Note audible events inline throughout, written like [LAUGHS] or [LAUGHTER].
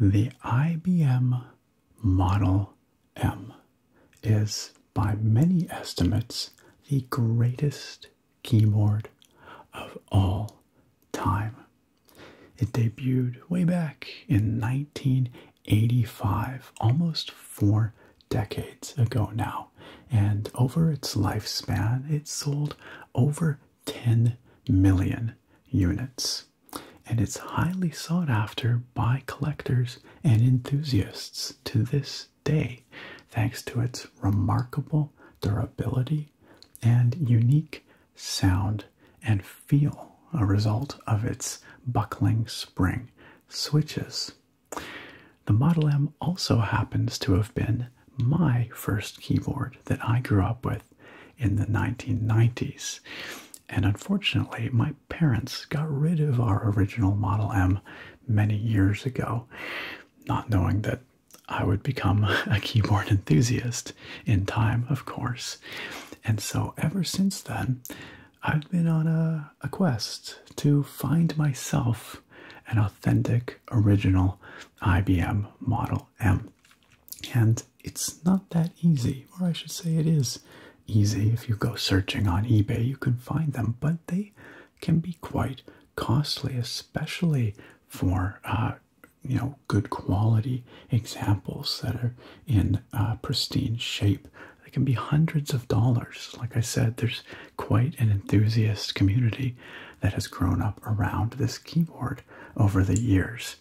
The IBM Model M is, by many estimates, the greatest keyboard of all time. It debuted way back in 1985, almost four decades ago now. And over its lifespan, it sold over 10 million units. And it's highly sought after by collectors and enthusiasts to this day, thanks to its remarkable durability and unique sound, and feel a result of its buckling spring switches. The Model M also happens to have been my first keyboard that I grew up with in the 1990s. And unfortunately, my parents got rid of our original Model M many years ago, not knowing that I would become a keyboard enthusiast in time, of course. And so, ever since then, I've been on a, quest to find myself an authentic, original IBM Model M. And it's not that easy, or I should say, it is easy. If you go searching on eBay, you can find them, but they can be quite costly, especially for uh, you know good quality examples that are in uh, pristine shape they can be hundreds of dollars like i said there's quite an enthusiast community that has grown up around this keyboard over the years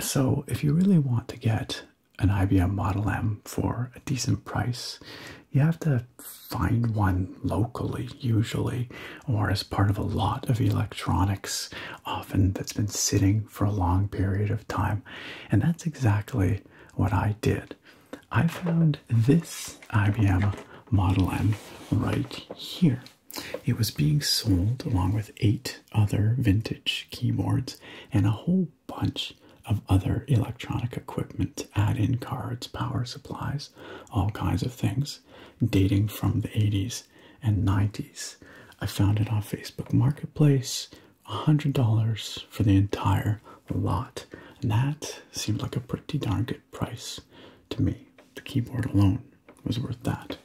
so if you really want to get an ibm model m for a decent price you have to find one locally usually or as part of a lot of electronics, often that's been sitting for a long period of time. And that's exactly what I did. I found this IBM Model N right here. It was being sold along with eight other vintage keyboards and a whole bunch of other electronic equipment, add in cards, power supplies, all kinds of things dating from the 80s and 90s. I found it on Facebook Marketplace, $100 for the entire lot. And that seemed like a pretty darn good price to me. The keyboard alone was worth that.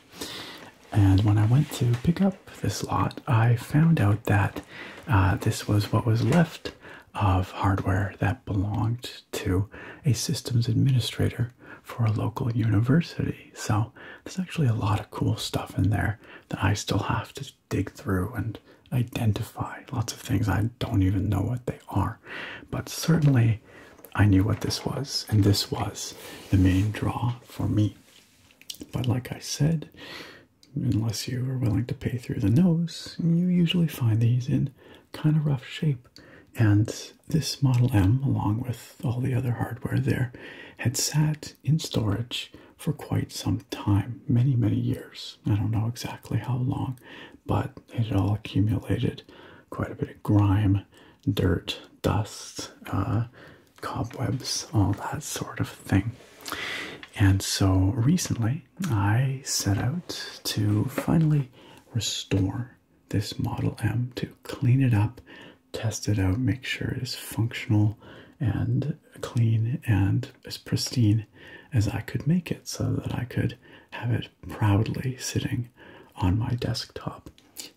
And when I went to pick up this lot, I found out that uh, this was what was left of hardware that belonged to a systems administrator for a local university. So there's actually a lot of cool stuff in there that I still have to dig through and identify. Lots of things I don't even know what they are. But certainly I knew what this was, and this was the main draw for me. But like I said, unless you are willing to pay through the nose, you usually find these in kind of rough shape. And this Model M, along with all the other hardware there, had sat in storage for quite some time many, many years. I don't know exactly how long, but it had all accumulated quite a bit of grime, dirt, dust, uh, cobwebs, all that sort of thing. And so recently I set out to finally restore this Model M to clean it up, test it out, make sure it is functional and clean and as pristine as I could make it so that I could have it proudly sitting on my desktop.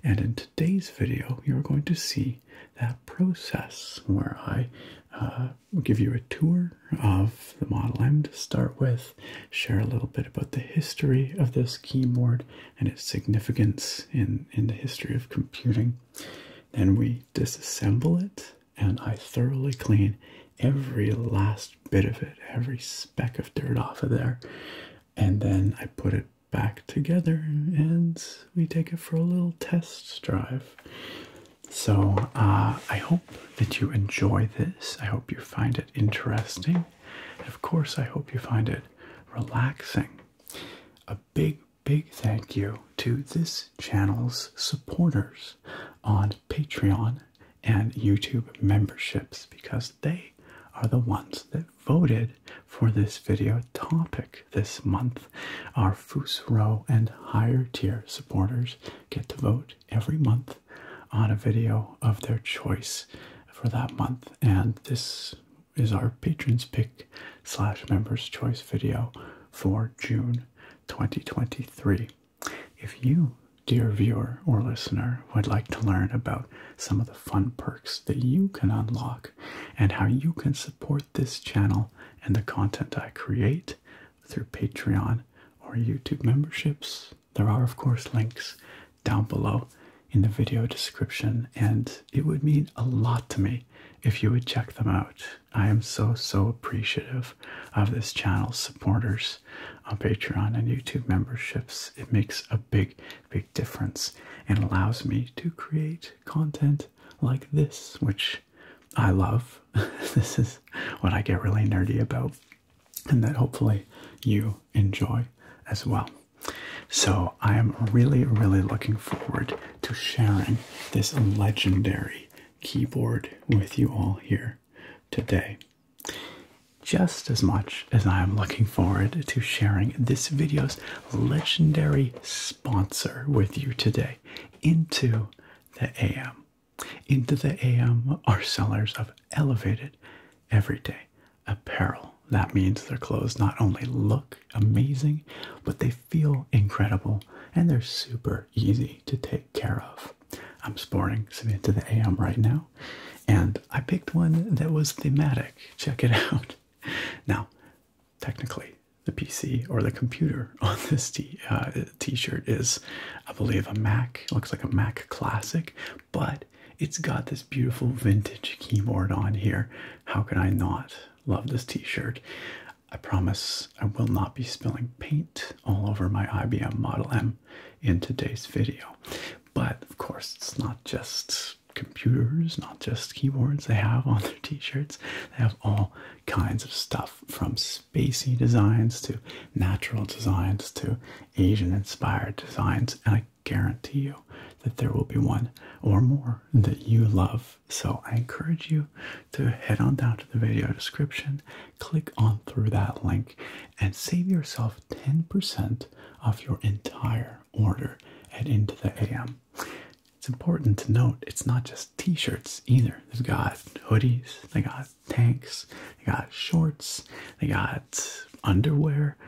And in today's video, you're going to see that process where I uh, give you a tour of the Model M to start with, share a little bit about the history of this keyboard, and its significance in, in the history of computing. and we disassemble it, and I thoroughly clean every last bit of it, every speck of dirt off of there. And then I put it back together and we take it for a little test drive. So uh, I hope that you enjoy this. I hope you find it interesting. of course, I hope you find it relaxing. A big, big thank you to this channel's supporters on Patreon and YouTube memberships because they are the ones that voted for this video topic this month. Our Fusro and higher tier supporters get to vote every month on a video of their choice for that month. And this is our patrons pick slash members choice video for June 2023. If you, dear viewer or listener, would like to learn about some of the fun perks that you can unlock and how you can support this channel and the content I create through Patreon or YouTube memberships, there are, of course, links down below in the video description, and it would mean a lot to me if you would check them out. I am so, so appreciative of this channel's supporters on uh, Patreon and YouTube memberships. It makes a big, big difference and allows me to create content like this, which I love. [LAUGHS] this is what I get really nerdy about, and that hopefully you enjoy as well. So I am really, really looking forward to sharing this legendary keyboard with you all here today. Just as much as I am looking forward to sharing this video's legendary sponsor with you today into the AM. Into the AM our sellers have elevated, everyday, apparel. That means their clothes not only look amazing, but they feel incredible and they're super easy to take care of. I'm sporting some to the AM right now, and I picked one that was thematic. Check it [LAUGHS] out. Now, technically, the PC or the computer [LAUGHS] on this t uh, t-shirt is, I believe, a Mac. looks like a Mac Classic, but it's got this beautiful vintage keyboard on here. How can I not love this t-shirt? I promise I will not be spilling paint all over my IBM Model M in today's video. But of course, it's not just computers, not just keyboards they have on their t-shirts. They have all kinds of stuff from spacey designs to natural designs to Asian inspired designs. And I guarantee you that there will be one or more that you love. So I encourage you to head on down to the video description, click on through that link, and save yourself 10% off your entire order at Into the AM. It's important to note it's not just t-shirts either. They've got hoodies, they got tanks, they got shorts, they got underwear.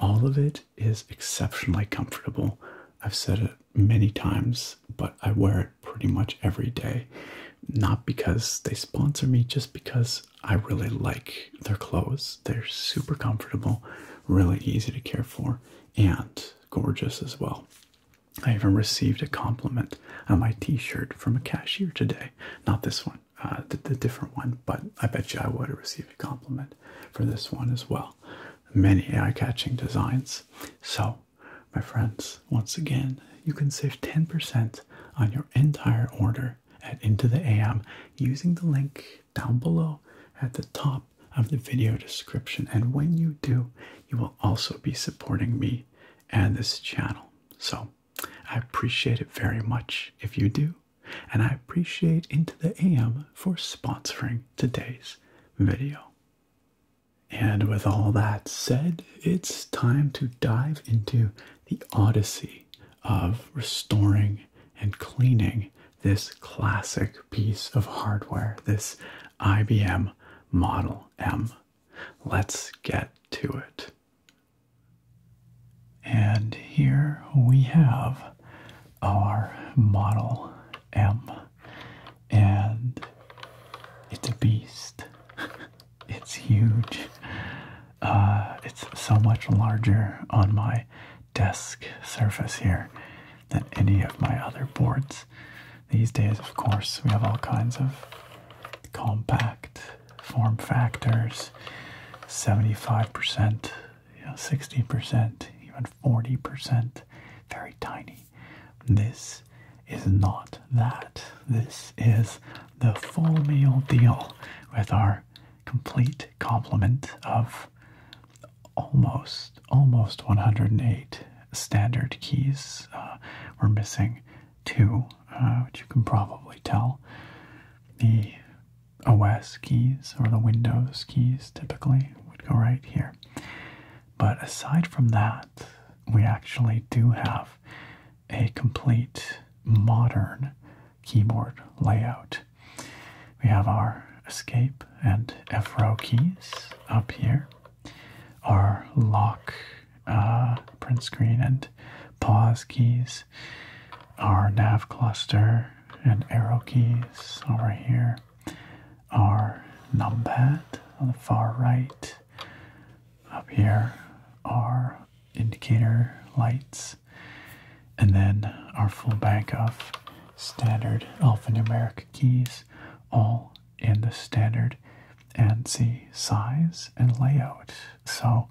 All of it is exceptionally comfortable. I've said it many times, but I wear it pretty much every day. Not because they sponsor me, just because I really like their clothes. They're super comfortable, really easy to care for, and gorgeous as well. I even received a compliment on my t-shirt from a cashier today. Not this one, uh, the, the different one, but I bet you I would have received receive compliment for this one as well. Many eye catching designs. So, my friends, once again, you can save 10% on your entire order at Into the AM using the link down below at the top of the video description. And when you do, you will also be supporting me and this channel. So, I appreciate it very much if you do and I appreciate Into the AM for sponsoring today's video. And with all that said, it's time to dive into the odyssey of restoring and cleaning this classic piece of hardware, this IBM Model M. Let's get to it. And here we have our Model M. And it's a beast. [LAUGHS] it's huge. Uh, it's so much larger on my desk surface here than any of my other boards. These days, of course, we have all kinds of compact form factors. 75% you know, 60%, even 40%, very tiny. This is not that. This is the full meal deal with our complete complement of almost, almost 108 standard keys. Uh, we're missing two, uh, which you can probably tell. OS keys or the Windows keys typically would go right here. But aside from that, we actually do have a complete modern keyboard layout. We have our escape and F row keys up here, our lock, uh, print screen, and pause keys, our nav cluster, and arrow keys over here. Our numpad on the far right. Up here are indicator lights. And then our full bank of standard alphanumeric keys, all in the standard ANSI size and layout. So,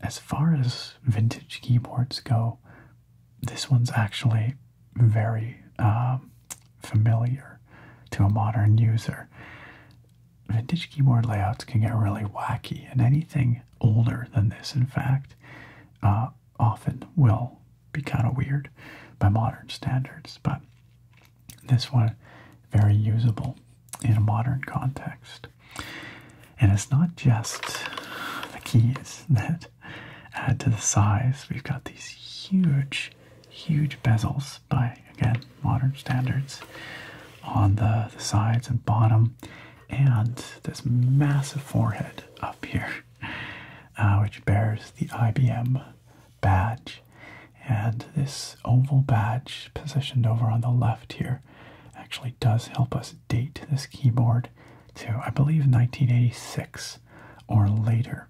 as far as vintage keyboards go, this one's actually very um, familiar to a modern user. Vintage keyboard layouts can get really wacky, and anything older than this, in fact, uh, often will be kind of weird by modern standards. But this one, very usable in a modern context. And it's not just the keys [LAUGHS] that Add to the size, we've got these huge, huge bezels by, again, modern standards on the, sides and bottom, and this massive forehead up here, [LAUGHS] uh, which bears the IBM badge. And this oval badge positioned over on the left here actually does help us this date, this keyboard, to I believe 1986 or later.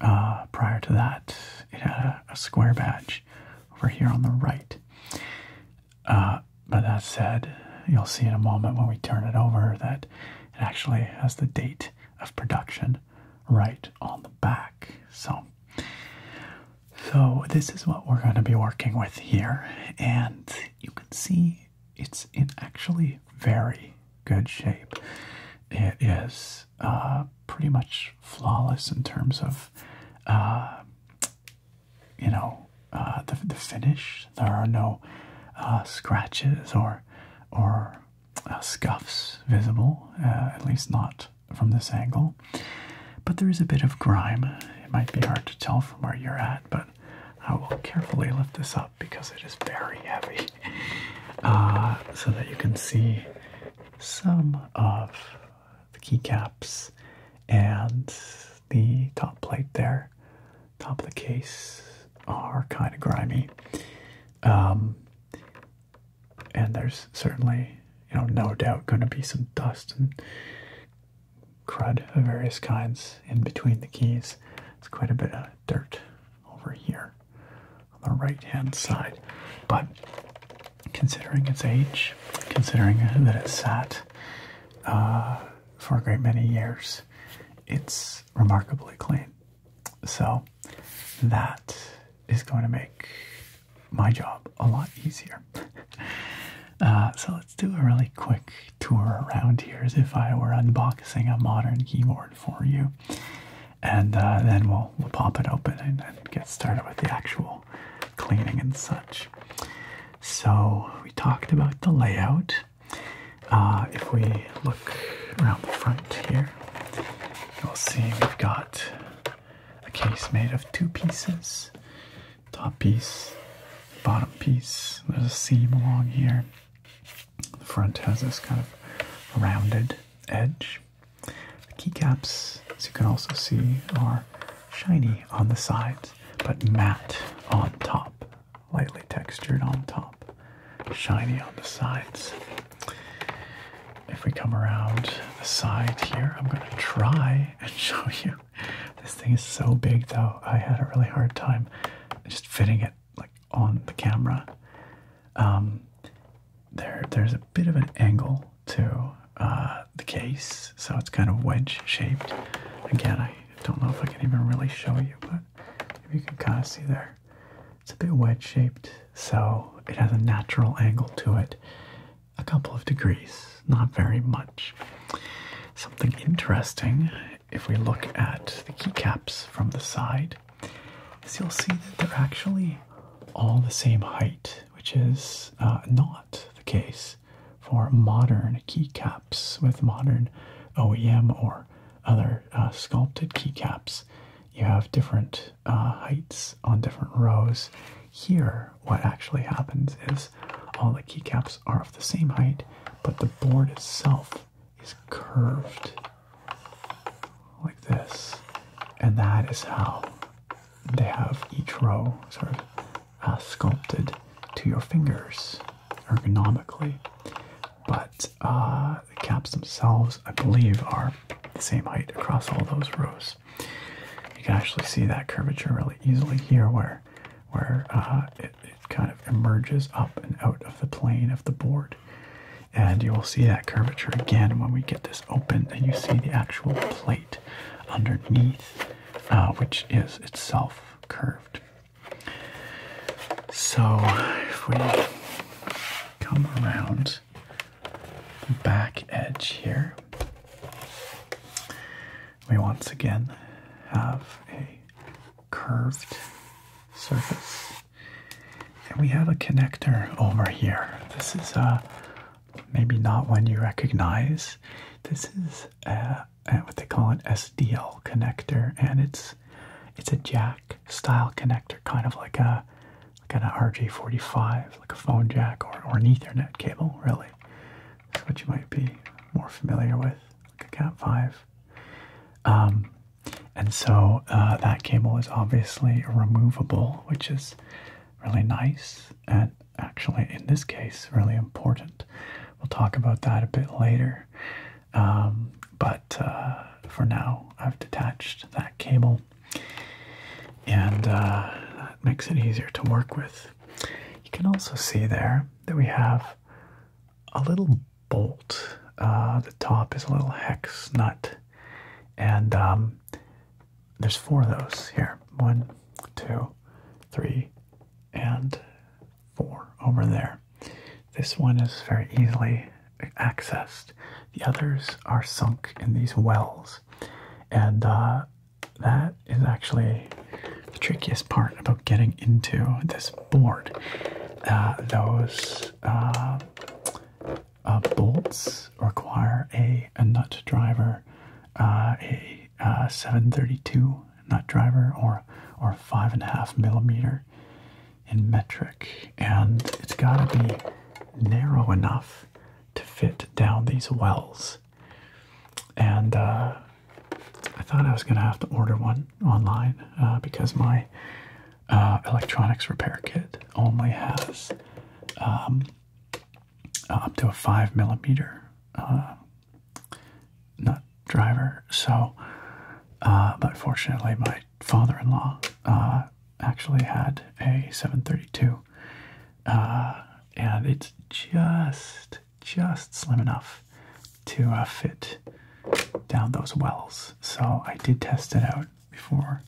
Uh, prior to that, it had a, square badge over here on the right. Uh, but that said, you'll see in a moment when we turn it over that it actually has the date of production right on the back. So, so this is what we're going to be working with here, and you can see it's in actually very good shape. It is uh, pretty much flawless in terms of, uh, you know, uh, the, the finish. There are no scratches or or scuffs visible, at least not from this angle. But there is a bit of grime. It might be hard to tell from where you're at, but I will carefully lift this up because it is very heavy [LAUGHS] uh, so that you can see some of the keycaps and the top plate there. Top of the case are kind of grimy. Um, and there's certainly, you know, no doubt going to be some dust and crud of various kinds in between the keys. It's quite a bit of dirt over here on the right hand side. But considering its age, considering that it sat uh, for a great many years, it's remarkably clean. So that is going to make my job a lot easier. [LAUGHS] Uh, so let's do a really quick tour around here as if I were unboxing a modern keyboard for you. And uh, then we'll, we'll pop it open and, get started with the actual cleaning and such. So, we talked about the layout. Uh, if we look around the front here, you'll see we've got a case made of two pieces top piece, bottom piece. There's a seam along here. The front has this kind of rounded edge. The keycaps, as you can also see, are shiny on the sides, but matte on top, lightly textured on top, shiny on the sides. If we come around the side here, I'm going to try [LAUGHS] and show you. This thing is so big, though, I had a really hard time just fitting it like on the camera. Um, there, there's a bit of an angle to uh, the case, so it's kind of wedge shaped. Again, I don't know if I can even really show you, but if you can kind of see there, it's a bit wedge shaped, so it has a natural angle to it, a couple of degrees, not very much. Something interesting if we look at the keycaps from the side, is you'll see that they're actually all the same height, which is uh, not the case for modern keycaps with modern OEM or other uh, sculpted keycaps. You have different uh, heights on different rows. Here, what actually happens is all the keycaps are of the same height, but the board itself is curved like this. And that is how they have each row sort of uh, sculpted to your fingers ergonomically. But uh, the caps themselves, I believe, are the same height across all those rows. You can actually see that curvature really easily here where where uh, it, kind of emerges up and out of the plane of the board. And you will see that curvature again when we get this open, and you see the actual plate underneath, uh, which is itself curved. So if we come around the back edge here, we once again have a curved surface. And we have a connector over here. This is a uh, maybe not one you recognize. This is what they call an SDL connector, and it's it's a jack style connector, kind of like a like an RJ45, like a phone jack or, or an Ethernet cable, really. That's what you might be more familiar with, like a Cat5 um, and so uh, that cable is obviously removable, which is really nice and actually, in this case, really important. We'll talk about that a bit later. Um, but uh, for now, I've detached that cable and uh, that makes it easier to work with. You can also see there that we have a little bolt. Uh, the top is a little hex nut, and um, there's four of those here. One, two, three, and four over there. This one is very easily accessed. The others are sunk in these wells, and uh, that is actually the trickiest part about getting into this board. Uh, those uh, uh, bolts require a, a nut driver, a uh, 732 nut driver, or or five and a half millimeter in metric, and it's got to be narrow enough to fit down these wells. And I thought I was going to have to order one online uh, because my uh, electronics repair kit only has um, uh, up to a five millimeter nut driver. So, but fortunately, my father-in-law actually had a 732, and it's just just slim enough to uh, fit down those wells. So I did test it out before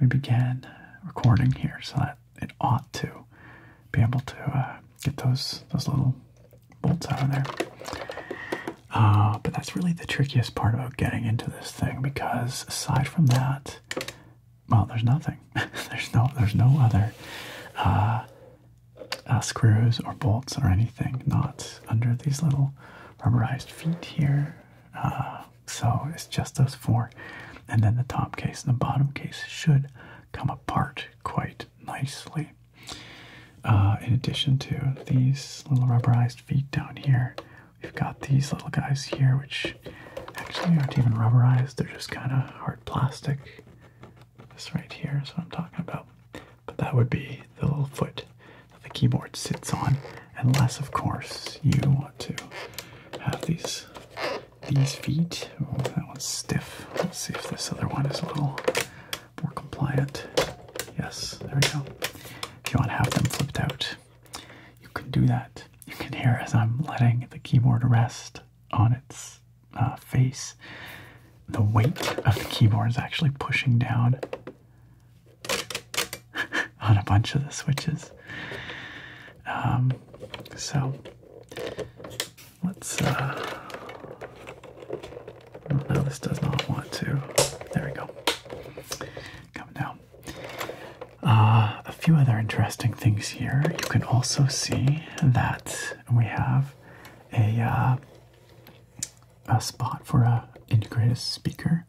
we began recording here, so that it ought to be able to uh, get those those little bolts out of there. Uh, but that's really the trickiest part about getting into this thing because aside from that, well, there's nothing. [LAUGHS] there's no there's no other uh, screws or bolts or anything, not under these little rubberized feet here. Uh, so it's just those four. And then the top case and the bottom case should come apart quite nicely. Uh, in addition to these little rubberized feet down here, we've got these little guys here, which actually aren't even rubberized, they're just kind of hard plastic. This right here is what I'm talking about. But that would be the little foot that the keyboard sits on, unless, of course, you want to have these these feet. Oh, that one's stiff. Let's see if this other one is a little more compliant. Yes, there we go. If you want to have them flipped out, you can do that. You can hear as I'm letting the keyboard rest on its uh, face the weight of the keyboard is actually pushing down [LAUGHS] on a bunch of the switches. Um, so let's. Uh, no, this does not want to. There we go. Come down. Uh, a few other interesting things here. You can also see that we have a uh, a spot for a integrated speaker.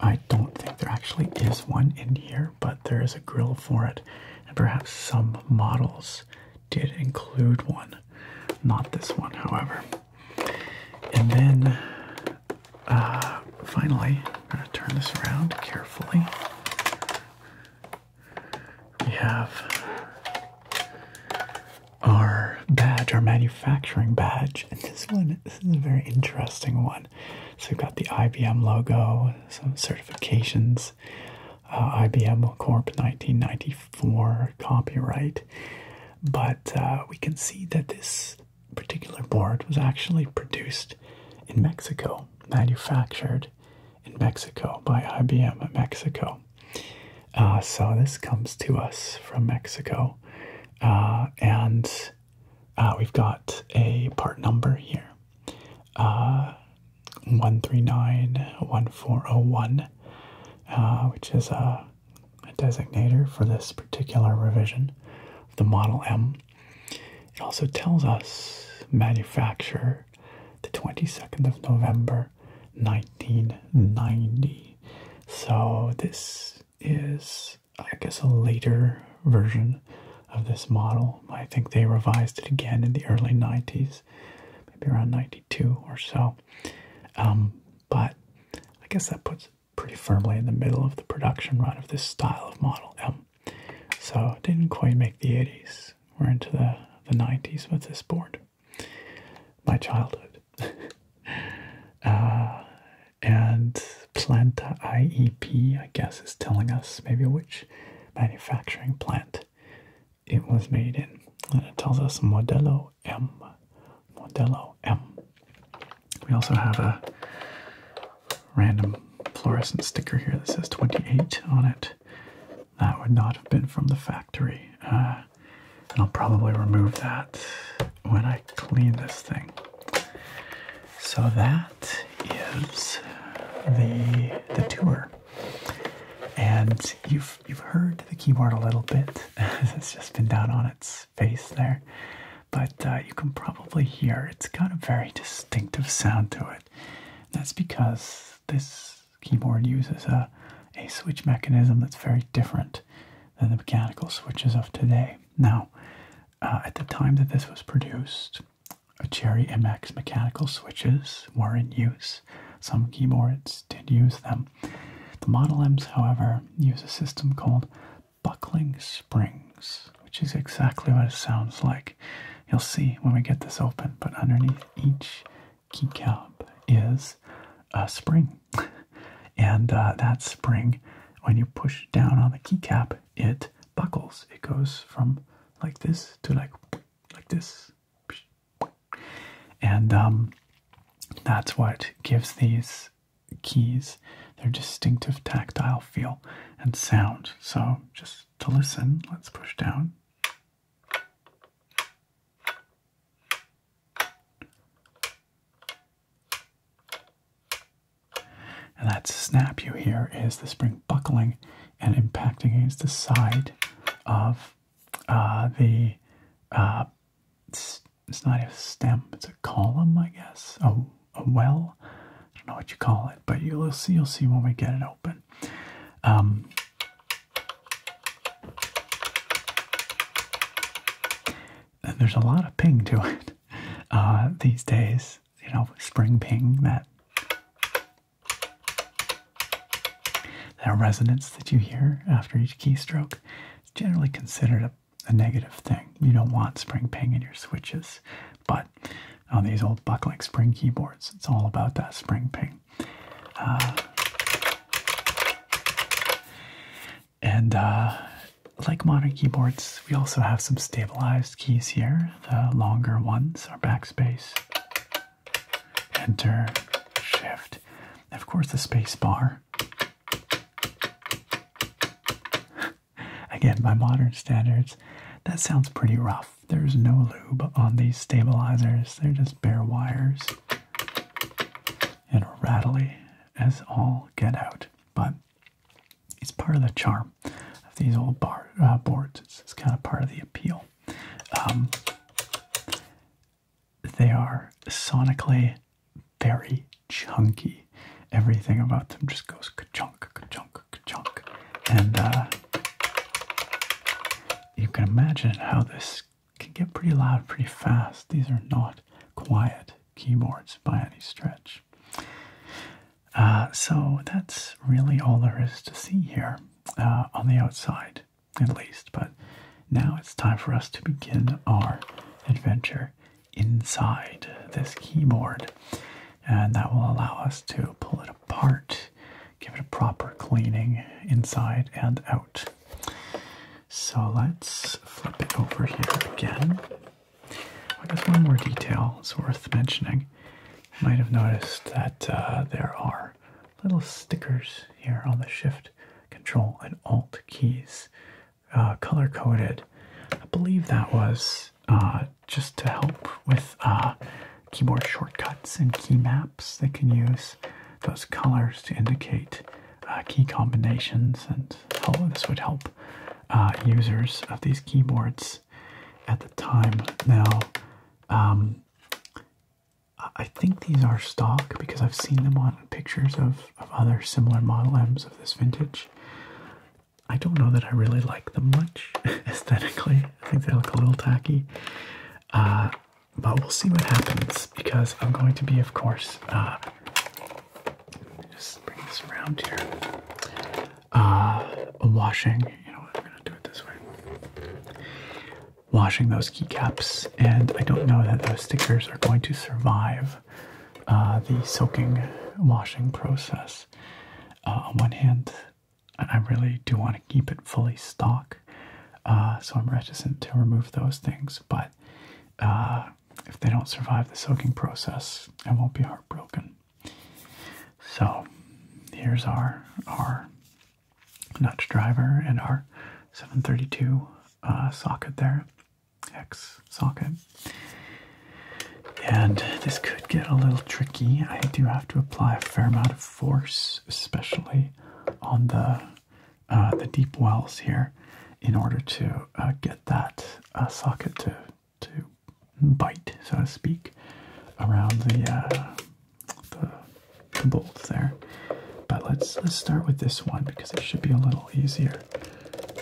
I don't think there actually is one in here, but there is a grill for it, and perhaps some models did include one. Not this one, however. And then, uh, finally, I'm going to turn this around carefully. We have our badge, our manufacturing badge. this one, this is a very interesting one. So we've got the IBM logo, some certifications, uh, IBM Corp 1994 copyright. But uh, we can see that this particular board was actually produced in Mexico, manufactured in Mexico by IBM Mexico. Uh, so this comes to us from Mexico. Uh, and uh, we've got a part number here 1391401, which is a, designator for this particular revision of the Model M. It also tells us manufacture the 22nd of November 1990. So this is, I guess, a later version of this model. I think they revised it again in the early 90s, maybe around 92 or so. Um, but I guess that puts it pretty firmly in the middle of the production run of this style of Model M. So didn't quite make the 80s. We're into the, the 90s with this board. My childhood. [LAUGHS] Uh, and Planta IEP, I guess, is telling us maybe which manufacturing plant it was made in. And it tells us Modelo M. Modelo M. We also have a random fluorescent sticker here that says 28 on it. That would not have been from the factory. Uh, and I'll probably remove that when I clean this thing. So that is the the tour. And you've you've heard the keyboard a little bit. [LAUGHS] it's just been down on its face there. But uh, you can probably hear it's got a very distinctive sound to it. That's because this keyboard uses a a switch mechanism that's very different than the mechanical switches of today. Now, uh, at the time that this was produced, uh, Cherry MX mechanical switches were in use. Some keyboards did use them. The Model M's, however, use a system called buckling springs, which is exactly what it sounds like. You'll see when we get this open, but underneath each keycap is a spring. [LAUGHS] and uh, that spring, when you push down on the keycap, it buckles. It goes from like this to like like this, and um, that's what gives these keys their distinctive tactile feel and sound. So just to listen, let's push down. And that snap you hear is the spring buckling and impacting against the side of uh, the, uh, it's, not a stem, it's a column, I guess, a, well. I don't know what you call it, but you'll see, you'll see when we get it open. Um, there's a lot of ping to it [LAUGHS] uh, these days. You know, spring ping, that that resonance that you hear after each keystroke. It's generally considered a, negative thing. You don't want spring ping in your switches, but on these old buckling spring keyboards, it's all about that spring ping. Uh, and uh, like modern keyboards, we also have some stabilized keys here. The longer ones are backspace, enter, shift, and of course the space bar. [LAUGHS] Again, by modern standards, that sounds pretty rough. There's no lube on these stabilizers, they're just bare wires and rattly as all get out. But it's part of the charm of these old uh, boards. It's, kind of part of the appeal. Um, they are sonically very chunky. Everything about them just goes ka-chunk, ka-chunk, ka-chunk. And uh, you can imagine how this can get pretty loud pretty fast. These are not quiet keyboards by any stretch. Uh, so that's really all there is to see here uh, on the outside, at least. But now it's time for us to begin our adventure inside this keyboard, and that will allow us to pull it apart, give it a proper cleaning inside and out. So let's flip it over here again. I guess one more detail is worth mentioning. You might have noticed that uh, there are little stickers here on the Shift, Control, and Alt keys, uh, color coded. I believe that was uh, just to help with keyboard shortcuts and key maps. They can use those colors to indicate uh, key combinations, and help, this would help uh, users of these keyboards at the time. Now, um, I think these are stock because I've seen them on pictures of, of other similar Model M's of this vintage. I don't know that I really like them much [LAUGHS] aesthetically. I think they look a little tacky. Uh, but we'll see what happens because I'm going to be, of course, uh, just bring this around here. Uh, washing, you know I'm going to do it this way. Washing those keycaps, and I don't know that those stickers are going to survive uh, the soaking washing process. on one hand, I really do want to keep it fully stock, so I'm reticent to remove those things, but uh, if they don't survive the soaking process, I won't be heartbroken. So here's our our nut driver and our 732 uh, socket there, X socket. And this could get a little tricky. I do have to apply a fair amount of force, especially on the uh, the deep wells here in order to uh, get that uh, socket to to bite, so to speak, around the, uh, the the there. But let's let's start with this one because it should be a little easier.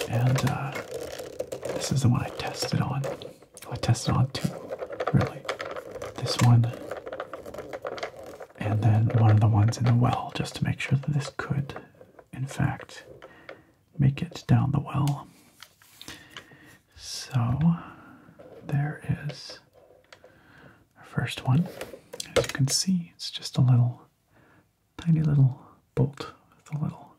And this is the one I tested on. I tested on two, really. This one, and then one of the ones in the well, just to make sure that this could in fact, make it down the well. So there is our first one. As you can see, it's just a little tiny little bolt with a little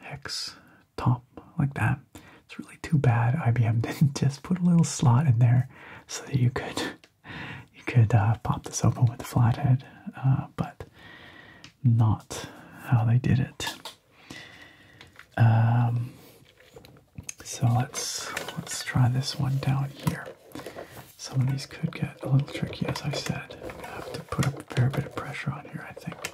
hex top like that. It's really too bad IBM didn't [LAUGHS] just put a little slot in there so that you could you could uh, pop this open with a flathead, uh, but not how they did it. Um, so let's let's try this one down here. Some of these could get a little tricky, as I said. I have to put a fair bit of pressure on here, I think.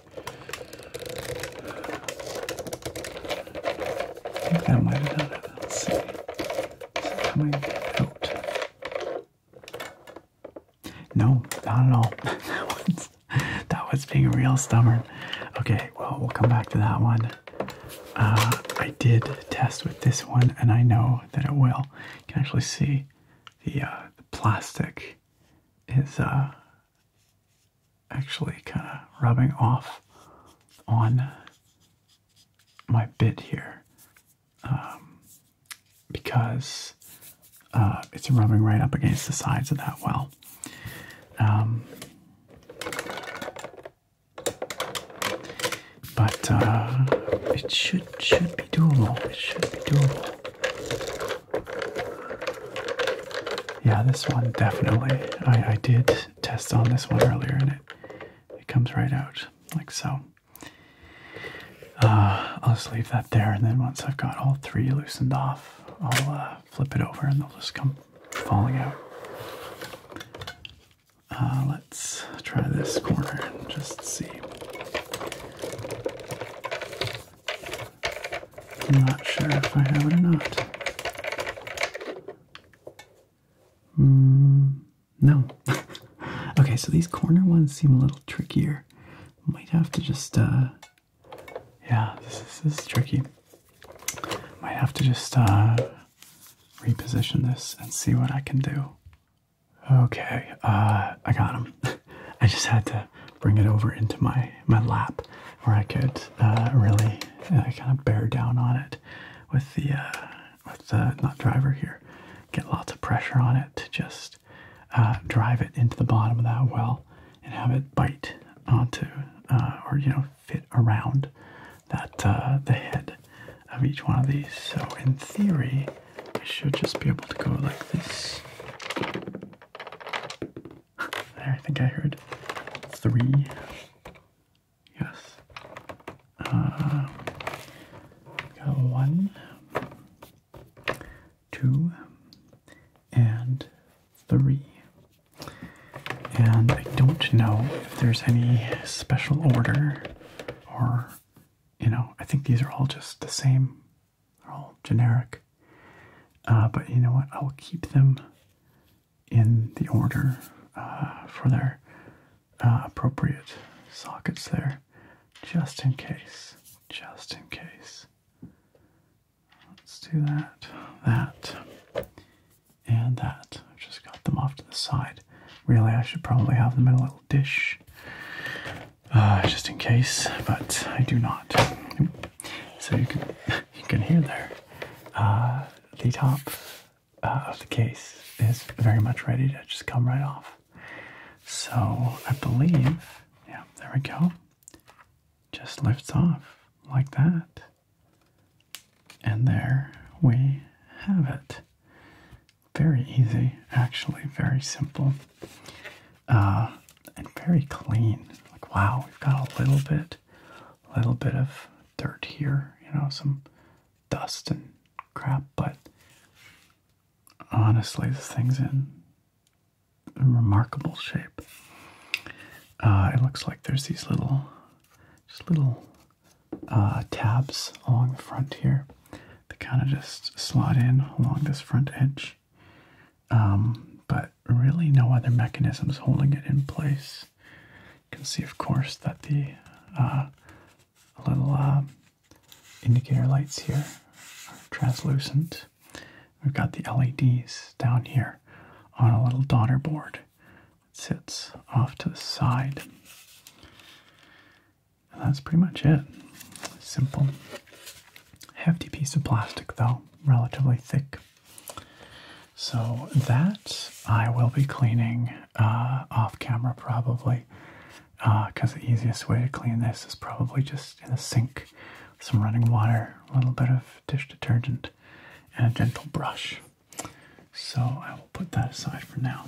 that might have done it. Let's see. coming out? No, not at all. [LAUGHS] that, was that one's being real stubborn. Okay, well, we'll come back to that one. Uh, I did test with this one, and I know that it will. You can actually see the, uh, plastic is uh, actually kind of rubbing off on my bit here. Um, because uh, it's rubbing right up against the sides of that well. Um, but uh, it should should be doable. It should be doable. Yeah, this one definitely. I, I did test on this one earlier, and it it comes right out like so. Uh, I'll just leave that there, and then once I've got all three loosened off, I'll uh, flip it over and they'll just come falling out. Uh, let's try this corner and just see. I'm not sure if I have it or not. Mm, no. [LAUGHS] okay, so these corner ones seem a little trickier. Might have to just, uh, yeah, this is, tricky. Might have to just, uh, reposition this and see what I can do. Okay, uh, I got him. [LAUGHS] I just had to bring it over into my, my lap where I could, uh, really uh, kind of bear down on it with the, uh, with uh, not driver here, get lots of pressure on it to just uh, drive it into the bottom of that well and have it bite onto uh, or you know fit around that uh, the head of each one of these. So in theory, we should just be able to go like this. There, I think I heard three. Yes. Uh, got one, two, and three. And I don't know if there's any special order or, you know, I think these are all just the same. They're all generic. Uh, but you know what? I'll keep them in the order uh, for their uh, appropriate sockets there just in case. Just in case. Let's do that, that, and that. I've just got them off to the side. Really, I should probably have them in a little dish uh, just in case, but I do not. So you can [LAUGHS] you can hear there uh, the top uh, of the case is very much ready to just come right off. So I believe, yeah, there we go. Just lifts off like that. And there we have it. Very easy, actually, very simple. Uh, and very clean. Like, wow, we've got a little bit, little bit of dirt here, you know, some dust and crap, but honestly, this thing's in remarkable shape. Uh, it looks like there's these little, just little uh, tabs along the front here. They kind of just slot in along this front edge, um, but really no other mechanisms holding it in place. You can see, of course, that the uh, a little uh, indicator lights here translucent. We've got the LEDs down here on a little daughter board that sits off to the side. that's pretty much it. Simple. Hefty piece of plastic though, relatively thick. So that I will be cleaning uh, off camera probably because uh, the easiest way to clean this is probably just in a sink some running water, a little bit of dish detergent, and a gentle brush. So I will put that aside for now.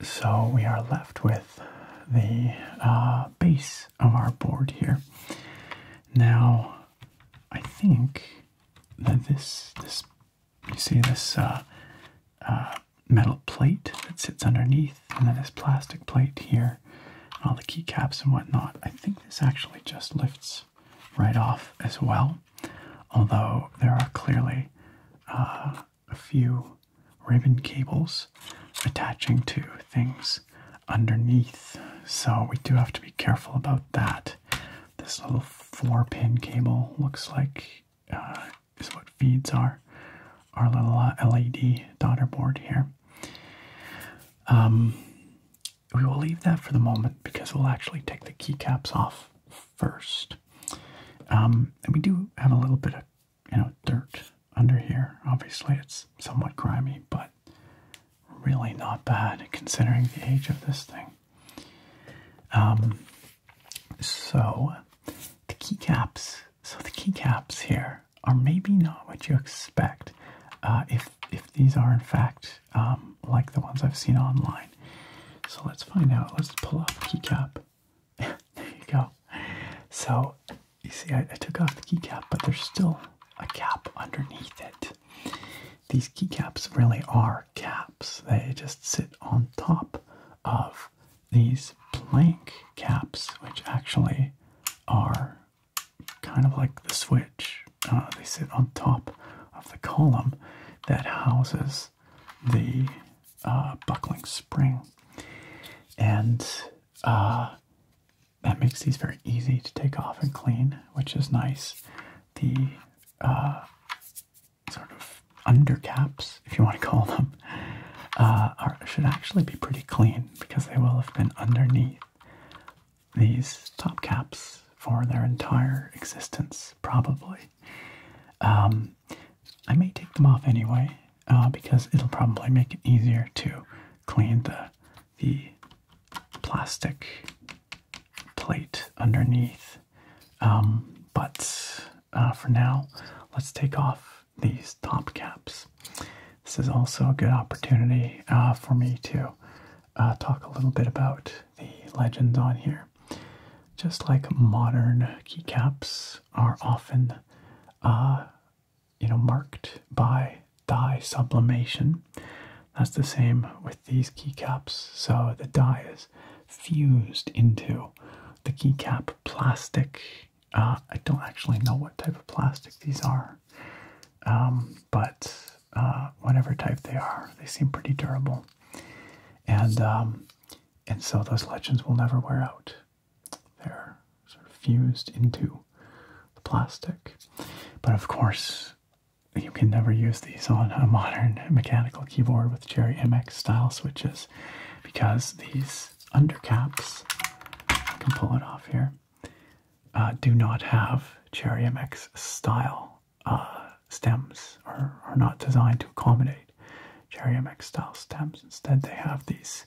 So we are left with the uh, base of our board here. Now, I think that this this you see this uh, uh, metal plate that sits underneath, and then this plastic plate here, all the keycaps and whatnot. I think this actually just lifts right off as well, although there are clearly uh, a few ribbon cables attaching to things underneath, so we do have to be careful about that. This little four pin cable looks like is what feeds our our little uh, LED daughter board here. Um, we will leave that for the moment because we'll actually take the keycaps off first. Um, and we do have a little bit of you know dirt under here. Obviously, it's somewhat grimy, but really not bad considering the age of this thing. Um, so the keycaps, so the keycaps here are maybe not what you expect uh, if if these are in fact um, like the ones I've seen online. So let's find out. Let's pull off the keycap. [LAUGHS] there you go. So you see, I, I took off the keycap, but there's still a cap underneath it. These keycaps really are caps. They just sit on top of these plank caps, which actually are kind of like the switch. Uh, they sit on top of the column that houses the uh, buckling spring. And uh, that makes these very easy to take off and clean, which is nice. The sort of undercaps, if you want to call them, uh, are, should actually be pretty clean because they will have been underneath these top caps for their entire existence, probably. Um, I may take them off anyway uh, because it'll probably make it easier to clean the the plastic plate underneath um, but uh, for now, let's take off these top caps. This is also a good opportunity uh, for me to uh, talk a little bit about the legends on here. Just like modern keycaps are often, you know, marked by dye sublimation. That's the same with these keycaps. So the dye is fused into the keycap plastic. Uh, I don't actually know what type of plastic these are, um, but uh, whatever type they are, they seem pretty durable. And um, and so those legends will never wear out. They're sort of fused into the plastic. But of course, you can never use these on a modern mechanical keyboard with Cherry MX style switches because these under caps, I can pull it off here, uh, do not have Cherry MX style uh, stems or are not designed to accommodate Cherry MX style stems. Instead, they have these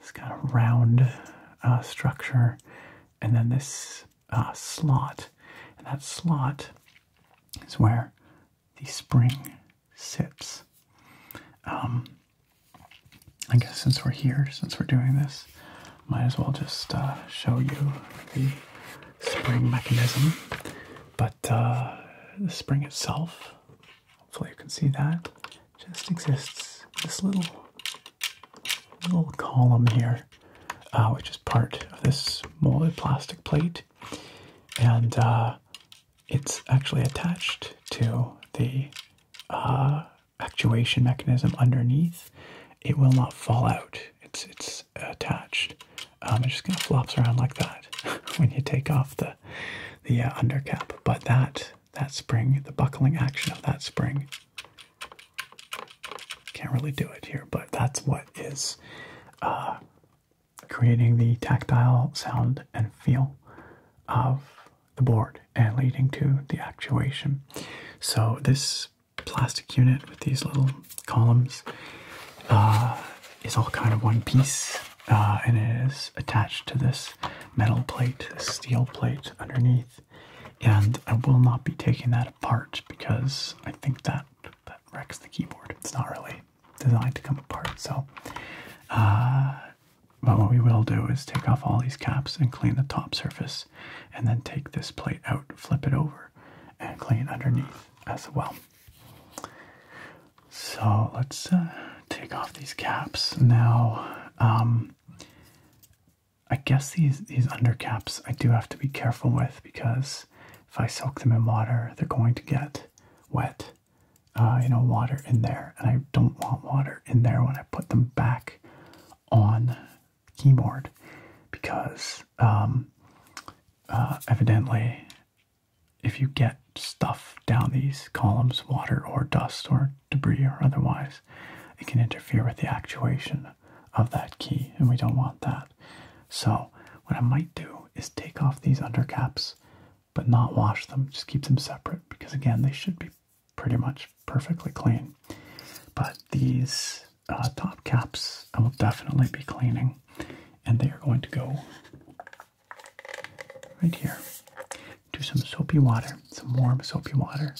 this kind of round uh, structure and then this slot. And that slot is where the spring sits. Um, I guess since we're here, since we're doing this, might as well just uh, show you the spring mechanism. But uh, the spring itself, hopefully you can see that, just exists this little little column here, uh, which is part of this molded plastic plate, and it's actually attached to the uh, actuation mechanism underneath. It will not fall out. It's it's attached. Um, it just kind of flops around like that [LAUGHS] when you take off the the uh, undercap. But that that spring, the buckling action of that spring, can't really do it here. But that's what is uh, creating the tactile sound and feel of the board and leading to the actuation. So, this plastic unit with these little columns uh, is all kind of one piece uh, and it is attached to this metal plate, this steel plate underneath. And I will not be taking that apart because I think that that wrecks the keyboard. It's not really designed to come apart. So, uh, but what we will do is take off all these caps and clean the top surface, and then take this plate out, flip it over, and clean underneath as well. So let's uh, take off these caps now. Um, I guess these these under caps I do have to be careful with because if I soak them in water, they're going to get wet uh, you know, water in there, and I don't want water in there when I put them back on keyboard because um, uh, evidently, if you get stuff down these columns, water or dust or debris or otherwise, it can interfere with the actuation of that key, and we don't want that. So, what I might do is take off these under caps but not wash them. Just keep them separate because, again, they should be pretty much perfectly clean. But these uh, top caps I will definitely be cleaning, and they are going to go right here. Do some soapy water, some warm soapy water,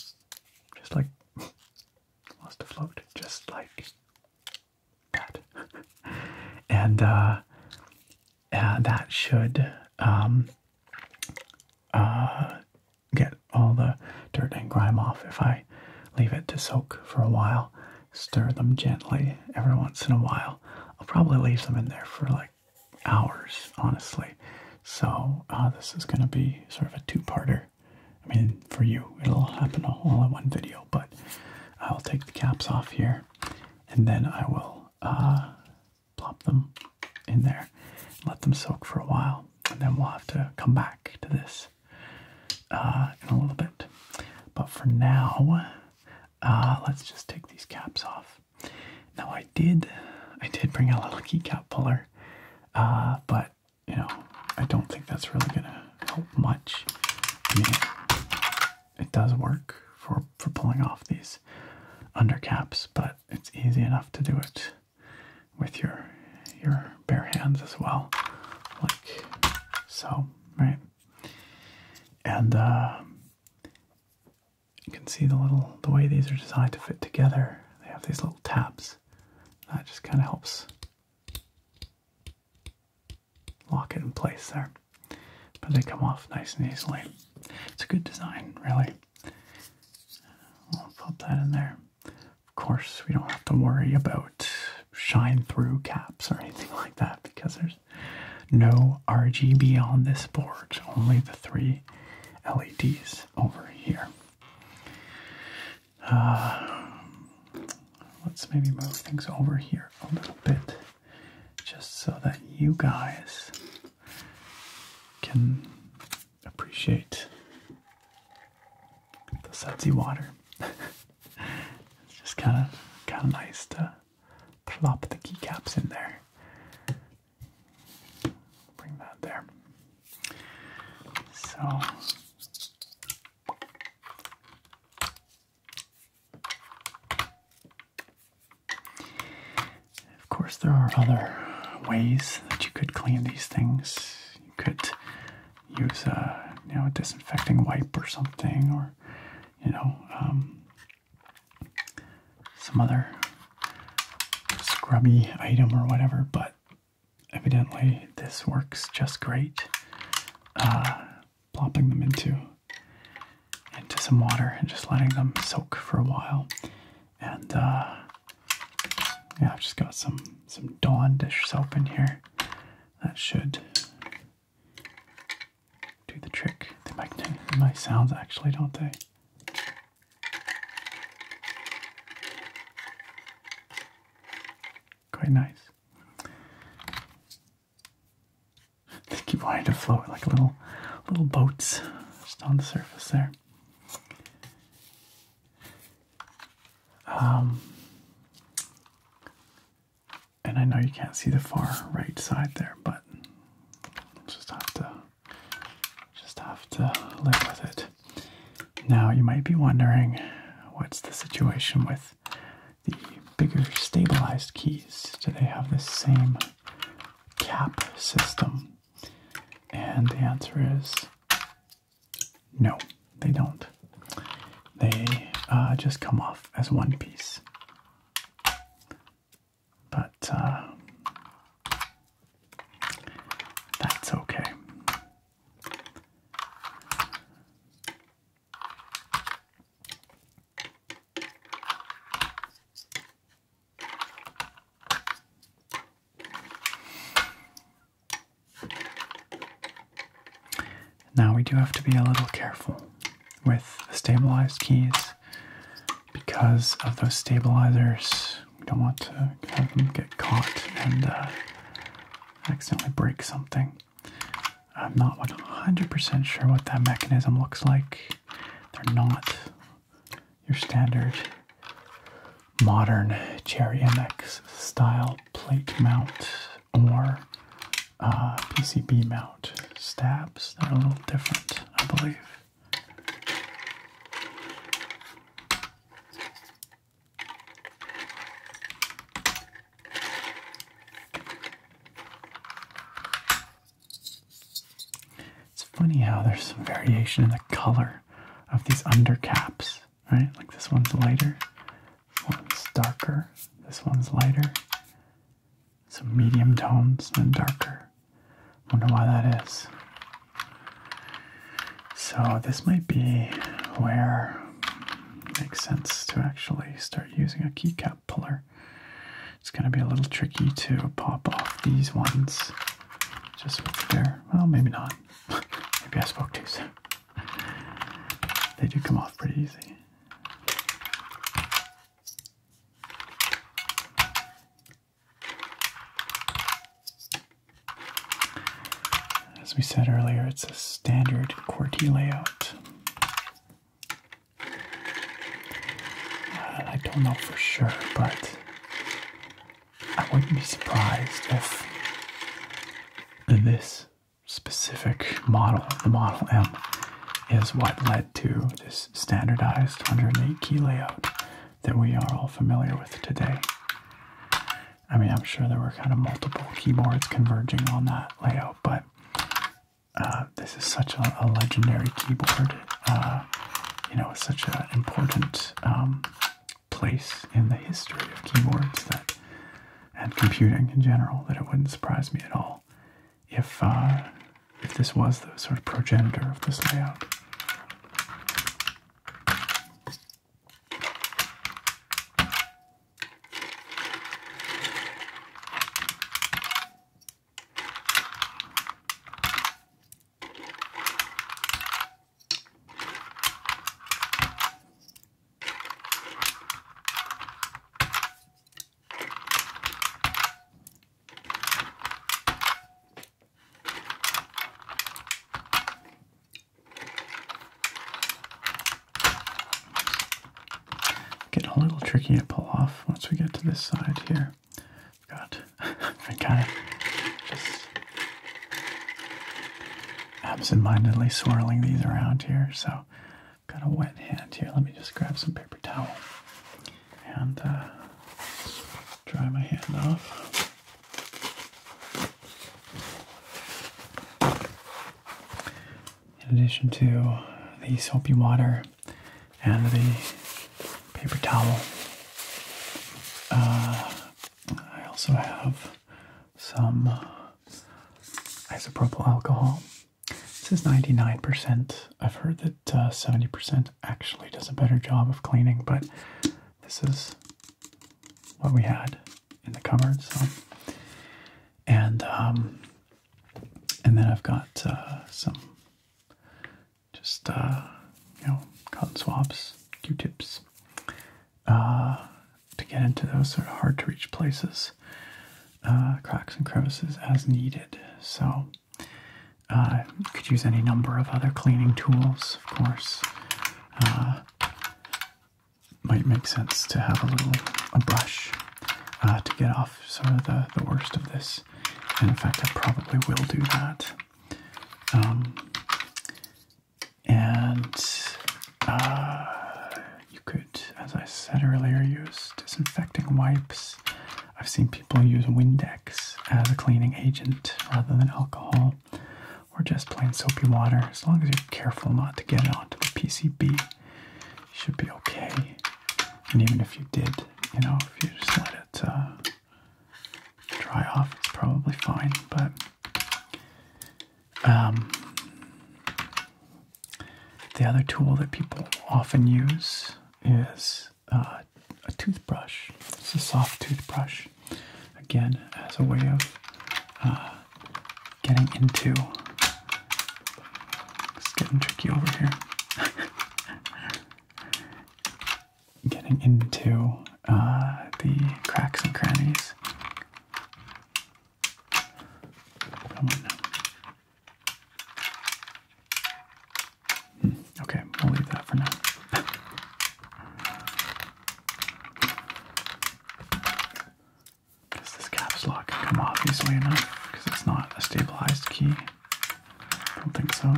just like [LAUGHS] lost a float, just like that. [LAUGHS] and uh, uh, that should um, uh, get all the dirt and grime off if I leave it to soak for a while. Stir them gently every once in a while. I'll probably leave them in there for like hours, honestly. So uh, this is going to be sort of a two-parter. I mean, for you, it'll happen all in one video, but I'll take the caps off here, and then I will uh, plop them in there, let them soak for a while, and then we'll have to come back to this uh, in a little bit. But for now, uh, let's just take these caps off. Now I did, I did bring a little key cap puller, uh, but you know I don't think that's really gonna help much it does work for for pulling off these under caps, but it's easy enough to do it with your your bare hands as well, like so, right? And uh, you can see the little the way these are designed to fit together. They have these little tabs. That just kind of helps lock it in place there but they come off nice and easily. It's a good design, really. We'll pop that in there. Of course, we don't have to worry about shine through caps or anything like that because there's no RGB on this board, only the three LEDs over here. Uh, let's maybe move things over here a little bit just so that you guys can appreciate the sudsy water. [LAUGHS] it's just kind of kind of nice to plop the keycaps in there. Bring that there. So of course, there are other ways that you could clean these things. You could use a uh, you know a disinfecting wipe or something, or you know um, some other scrubby item or whatever. But evidently, this works just great. Uh, plopping them into into some water and just letting them soak for a while. And uh, yeah, I've just got some some Dawn dish soap in here. That should do the trick. They make nice sounds actually, don't they? Quite nice. They keep wanting to float like little little boats just on the surface there. Um, and I know you can't see the far right side there, but just have to just have to live with it. Now you might be wondering what's the situation with the bigger stabilized keys? Do they have the same cap system? And the answer is no, they don't. They uh, just come off as one piece. But uh, that's okay. Now we do have to be a little careful with the stabilized keys because of those stabilizers. We don't want to have them get caught and uh, accidentally break something. I'm not 100% sure what that mechanism looks like. They're not your standard modern Cherry MX style plate mount or uh, PCB mount stabs. They're a little different, I believe. It's funny how there's some variation in the color of these undercaps, right? Like this one's lighter, one's darker, this one's lighter. Some medium tones and darker. Wonder why that is. So this might be where it makes sense to actually start using a keycap puller it's going to be a little tricky to pop off these ones just with their. Well, maybe not. [LAUGHS] maybe I spoke too soon. [LAUGHS] They do come off pretty easy. As we said earlier, it's a standard QWERTY layout. I don't know for sure, but I wouldn't be surprised if this specific model, the Model M, is what led to this standardized 108 key layout that we are all familiar with today. I mean, I'm sure there were kind of multiple keyboards converging on that layout, but uh, this is such a, legendary keyboard. Uh, you know, such an important um, place in the history of keyboards that, and computing in general, that it wouldn't surprise me at all if uh, if this was the sort of progenitor of this layout. Getting a little tricky to pull off once we get to this side here got, I've been kind of just absentmindedly swirling these around here, so got a wet hand here. Let me just grab some paper towel and uh, dry my hand off. In addition to the soapy water, and the paper towel. Uh, I also have some isopropyl alcohol. This is 99%. I've heard that 70% uh, actually does a better job of cleaning, but this is what we had in the cupboard. So, and um, and then I've got uh, some just uh, you know cotton swabs, Q-tips, uh, to get into those sort of hard to reach places, uh, cracks and crevices as needed. So you could use any number of other cleaning tools, of course. might make sense to have a little a brush to get off sort of the, the worst of this and in fact, I probably will do that. Um, and uh, you could, as I said earlier, use disinfecting wipes. I've seen people use Windex as a cleaning agent rather than alcohol or just plain soapy water. As long as you're careful not to get it onto the PCB, you should be okay. And even if you did, you know, if you just let it uh, dry off, it's probably fine. But um, the other tool that people often use is uh, a toothbrush. It's a soft toothbrush, again, as a way of uh, getting into. It's getting tricky over here. [LAUGHS] getting into uh, the cracks and crannies. Come on now. Hmm, okay, we'll leave that for now. Because this caps lock can come off easily enough because it's not a stabilized key. I don't think so,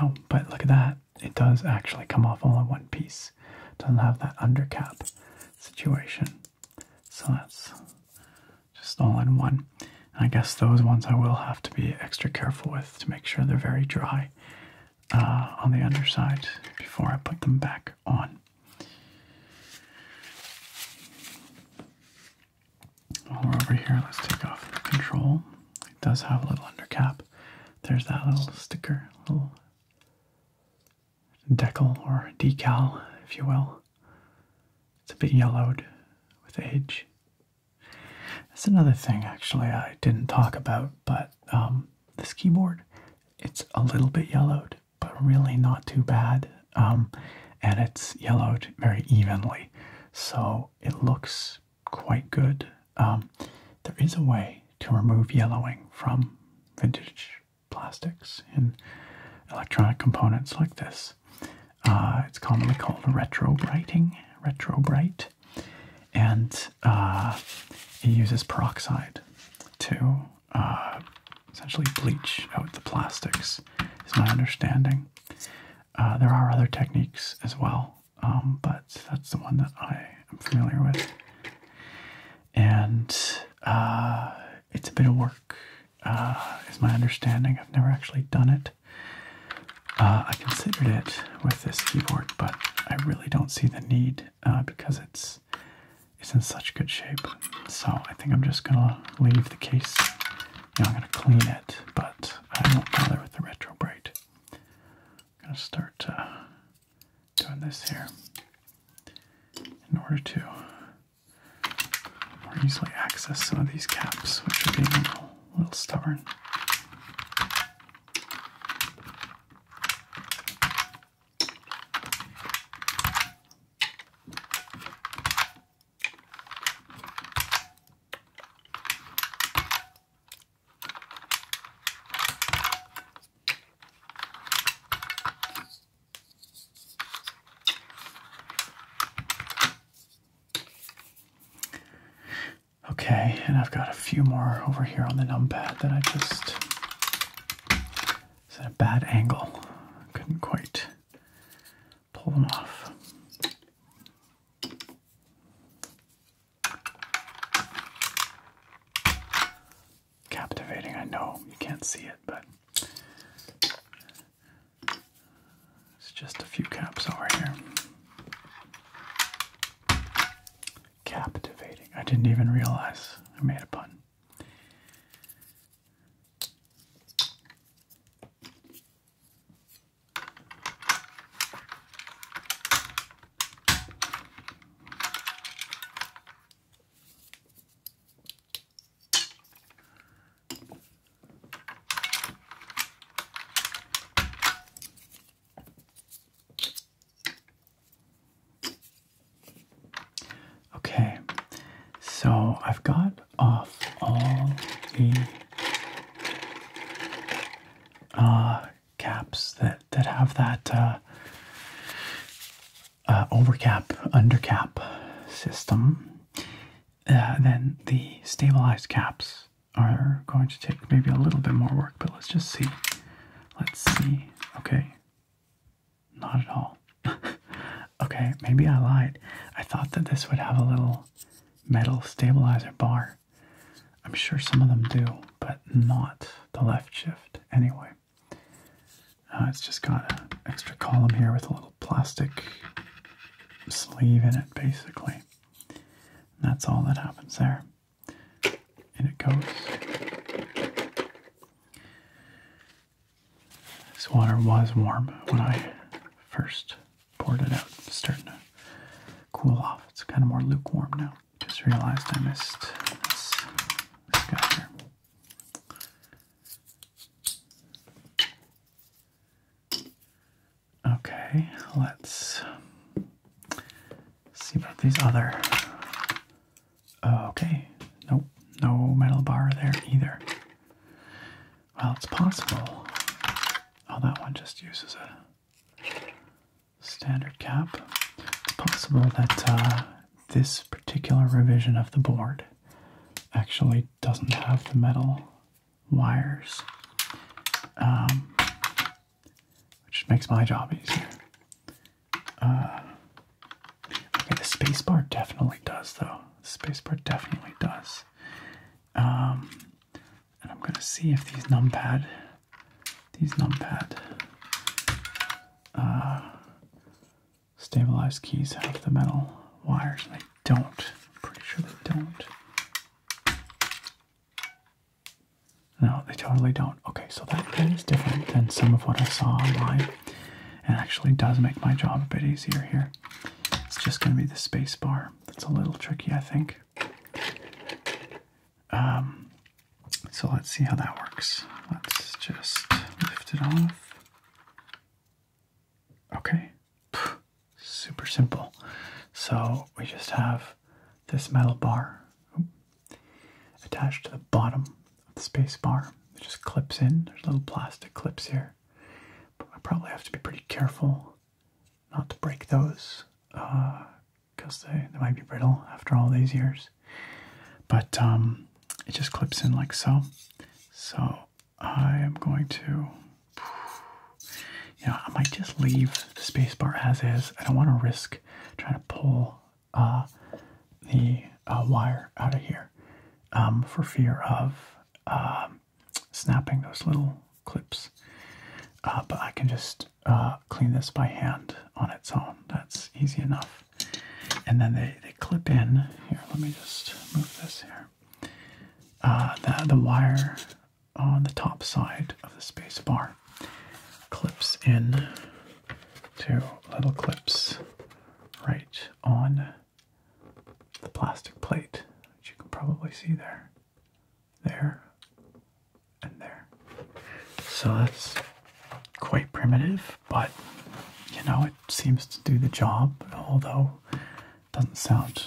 Oh, but look at that. It does actually come off all in one piece. Doesn't have that undercap situation. So that's just all in one. And I guess those ones I will have to be extra careful with to make sure they're very dry uh, on the underside before I put them back on over here, let's take off the control. It does have a little undercap. There's that little sticker, little decal or decal, if you will. It's a bit yellowed with age. That's another thing, actually, I didn't talk about, but um, this keyboard, it's a little bit yellowed, but really not too bad. Um, and it's yellowed very evenly, so it looks quite good. Um, there is a way to remove yellowing from vintage plastics and electronic components like this. Uh, it's commonly called retro brighting, retro bright, and uh, it uses peroxide to uh, essentially bleach out the plastics, is my understanding. Uh, there are other techniques as well, um, but that's the one that I am familiar with. And uh, it's a bit of work, uh, is my understanding. I've never actually done it. Uh, I considered it with this keyboard, but I really don't see the need because it's it's in such good shape. So I think I'm just gonna leave the case I'm going to clean it, but I won't bother with the retro bright. I'm going to start uh, doing this here in order to more easily access some of these caps, which are being a little stubborn. Okay, and I've got a few more over here on the numpad that I just. It's at a bad angle. Couldn't quite pull them off. Captivating, I know. You can't see it, but it's just a few caps over here. Captivating. I didn't even realize I made a pun. Okay, so I've got of all the uh, caps that that have that uh, uh, overcap undercap system, then the stabilized caps are going to take maybe a little bit more work. But let's just see. Let's see. Okay, not at all. [LAUGHS] okay, maybe I lied. I thought that this would have a little metal stabilizer bar. I'm sure some of them do, but not the left shift anyway. Uh, it's just got an extra column here with a little plastic sleeve in it, basically. that's all that happens there. and it goes. This water was warm when I first poured it out. starting to cool off. It's kind of more lukewarm now. Just realized I missed this, Okay, let's see about these other. Okay, nope, no metal bar there either. Well, it's possible. Oh, that one just uses a standard cap. It's possible that uh, this particular revision of the board actually doesn't have the metal wires, um, which makes my job easier. Uh, okay, the spacebar definitely does, though. The spacebar definitely does. Um, and I'm gonna see if these numpad, these numpad uh, stabilized keys have the metal wires. they don't. pretty sure they don't. No, they totally don't. Okay, so that is different than some of what I saw online. It actually does make my job a bit easier here. It's just going to be the space bar. That's a little tricky, I think. Um, so let's see how that works. Let's just lift it off. Okay, super simple. So we just have this metal bar attached to the bottom of the space bar. It just clips in. There's little plastic clips here. I probably have to be pretty careful not to break those because uh, they, they might be brittle after all these years. But um, it just clips in like so. So I am going to, [SIGHS] you know, I might just leave the spacebar as is. I don't want to risk trying to pull uh, the uh, wire out of here um, for fear of um, snapping those little clips. Uh, but I can just uh, clean this by hand on its own. That's easy enough. And then they, they clip in. Here, let me just move this here. Uh, the, the wire on the top side of the space bar clips in to little clips right on the plastic plate, which you can probably see there there, and there. So that's quite primitive, but you know, it seems to do the job, although it doesn't sound,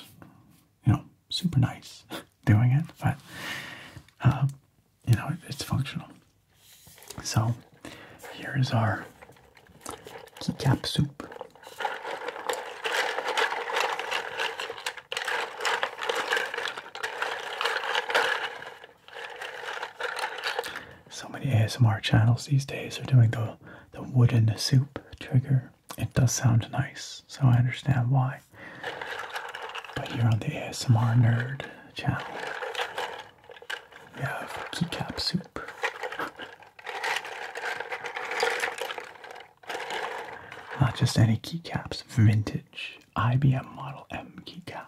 you know, super nice [LAUGHS] doing it, but uh, you know, it's functional. So here is our keycap soup. So many ASMR channels these days are doing the the wooden soup trigger. It does sound nice, so I understand why. But here on the ASMR Nerd channel, we have keycap soup. [LAUGHS] Not just any keycaps, vintage IBM Model M keycaps.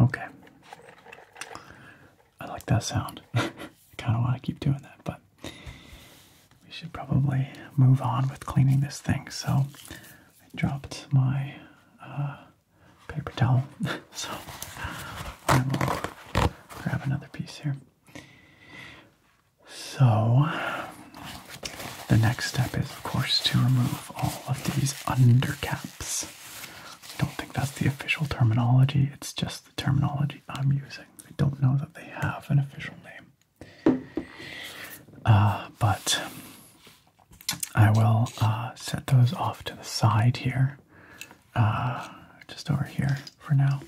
Okay. I like that sound. [LAUGHS] I kind of want to keep doing that, but we should probably move on with cleaning this thing. So I dropped my uh, paper towel, [LAUGHS] so I will grab another piece here. So the next step is, of course, to remove all of these undercaps. I don't think that's the official terminology, it's just the terminology I'm using. I don't know that they have an official name. Uh, but I will uh, set those off to the side here, uh, just over here for now,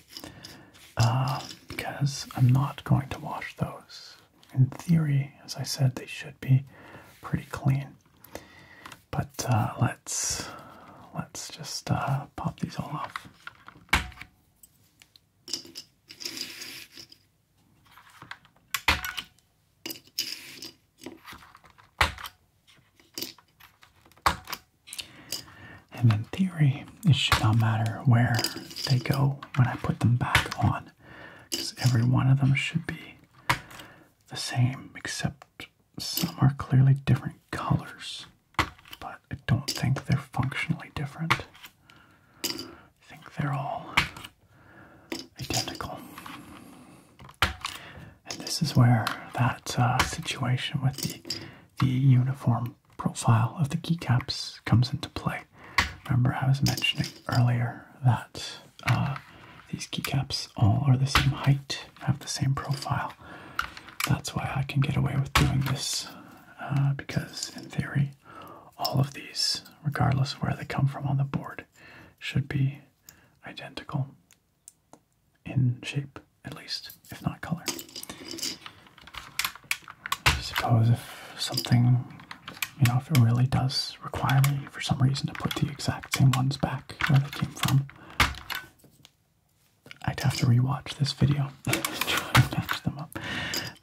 because I'm not going to wash those. In theory, as I said, they should be pretty clean. But uh, let's let's just uh, pop these all off. And in theory, it should not matter where they go when I put them back on, because every one of them should be the same except some are clearly different colors, but I don't think they're functionally different. I think they're all identical. And this is where that uh, situation with the, the uniform profile of the keycaps comes into play. Remember, I was mentioning earlier that uh, these keycaps all are the same height have the same profile. That's why I can get away with doing this, uh, because in theory, all of these, regardless of where they come from on the board, should be identical in shape, at least, if not color. Suppose if something, you know, if it really does require me for some reason to put the exact same ones back where they came from, I'd have to rewatch this video [LAUGHS] to match them up.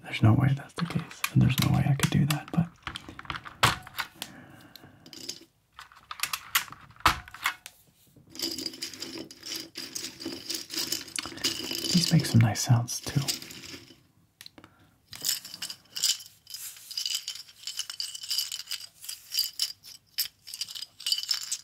There's no way that's the case, and there's no way I could do that, but. These make some nice sounds too.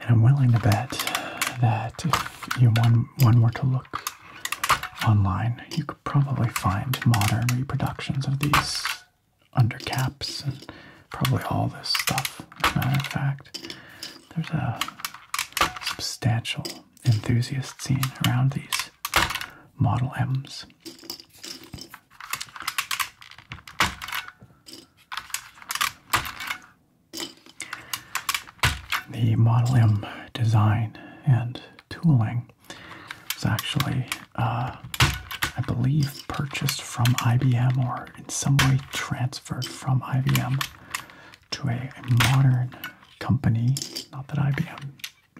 And I'm willing to bet that if you one, one were to look online, you could probably find modern reproductions of these undercaps and probably all this stuff. As a matter of fact, there's a substantial enthusiast scene around these Model M's. The Model M design and tooling is actually, uh, I believe, purchased from IBM or in some way transferred from IBM to a, modern company. Not that IBM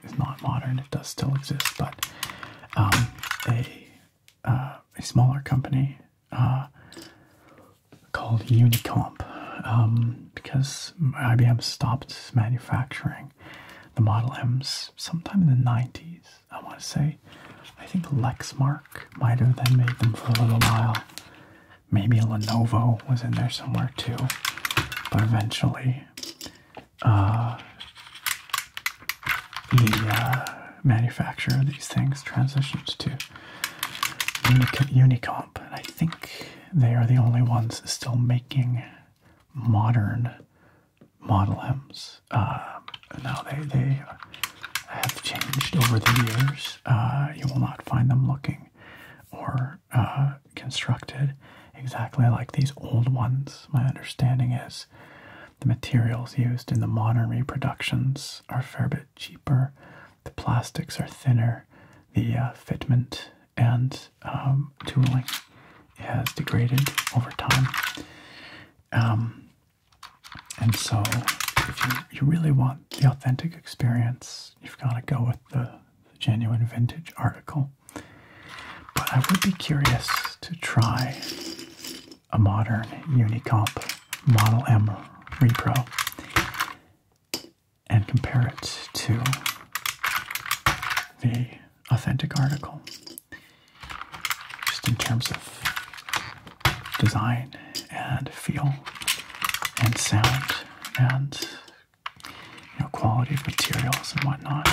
is not modern, it does still exist, but um, a, uh, a smaller company uh, called Unicomp um, because IBM stopped manufacturing the Model M's sometime in the 90s, I want to say. I think Lexmark might have then made them for a little while. Maybe Lenovo was in there somewhere too, but eventually uh, uh manufacturer of these things transitioned to Unicomp, and I think they are the only ones still making modern Model M's. Uh, now they they have changed over the years. Uh, you will not find them looking or uh, constructed exactly like these old ones. My understanding is the materials used in the modern reproductions are a fair bit cheaper, the plastics are thinner, the uh, fitment and um, tooling has degraded over time. Um, and so, if you, really want the authentic experience, you've got to go with the genuine vintage article. But I would be curious to try a modern Unicomp Model M repro and compare it to the authentic article, just in terms of design and feel and sound and you know, quality of materials and whatnot.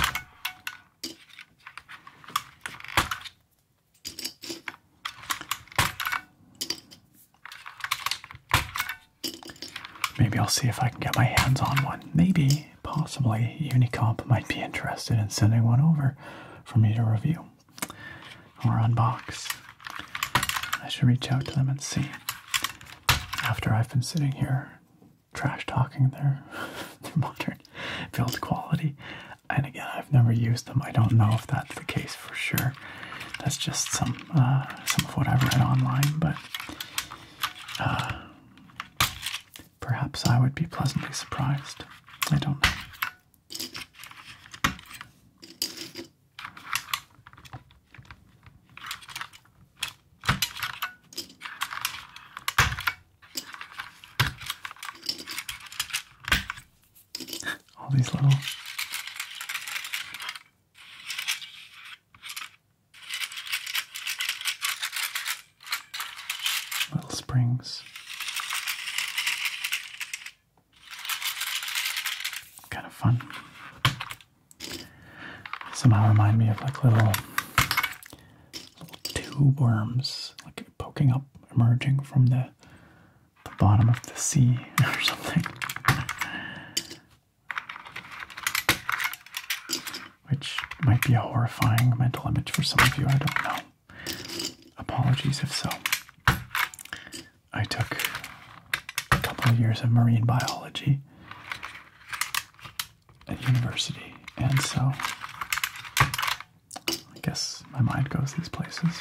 Maybe I'll see if I can get my hands on one. Maybe, possibly, Unicomp might be interested in sending one over for me to review or unbox. I should reach out to them and see. After I've been sitting here trash talking their, [LAUGHS] their modern build quality. And again, I've never used them. I don't know if that's the case for sure. That's just some uh, some of what I've read online, but uh, perhaps I would be pleasantly surprised. I don't know all these little little springs. Kind of fun. Somehow remind me of like little little tube worms, like poking up, emerging from the the bottom of the sea [LAUGHS] or something. Which might be a horrifying mental image for some of you, I don't know. Apologies if so. I took a couple of years of marine biology at university, and so I guess my mind goes these places.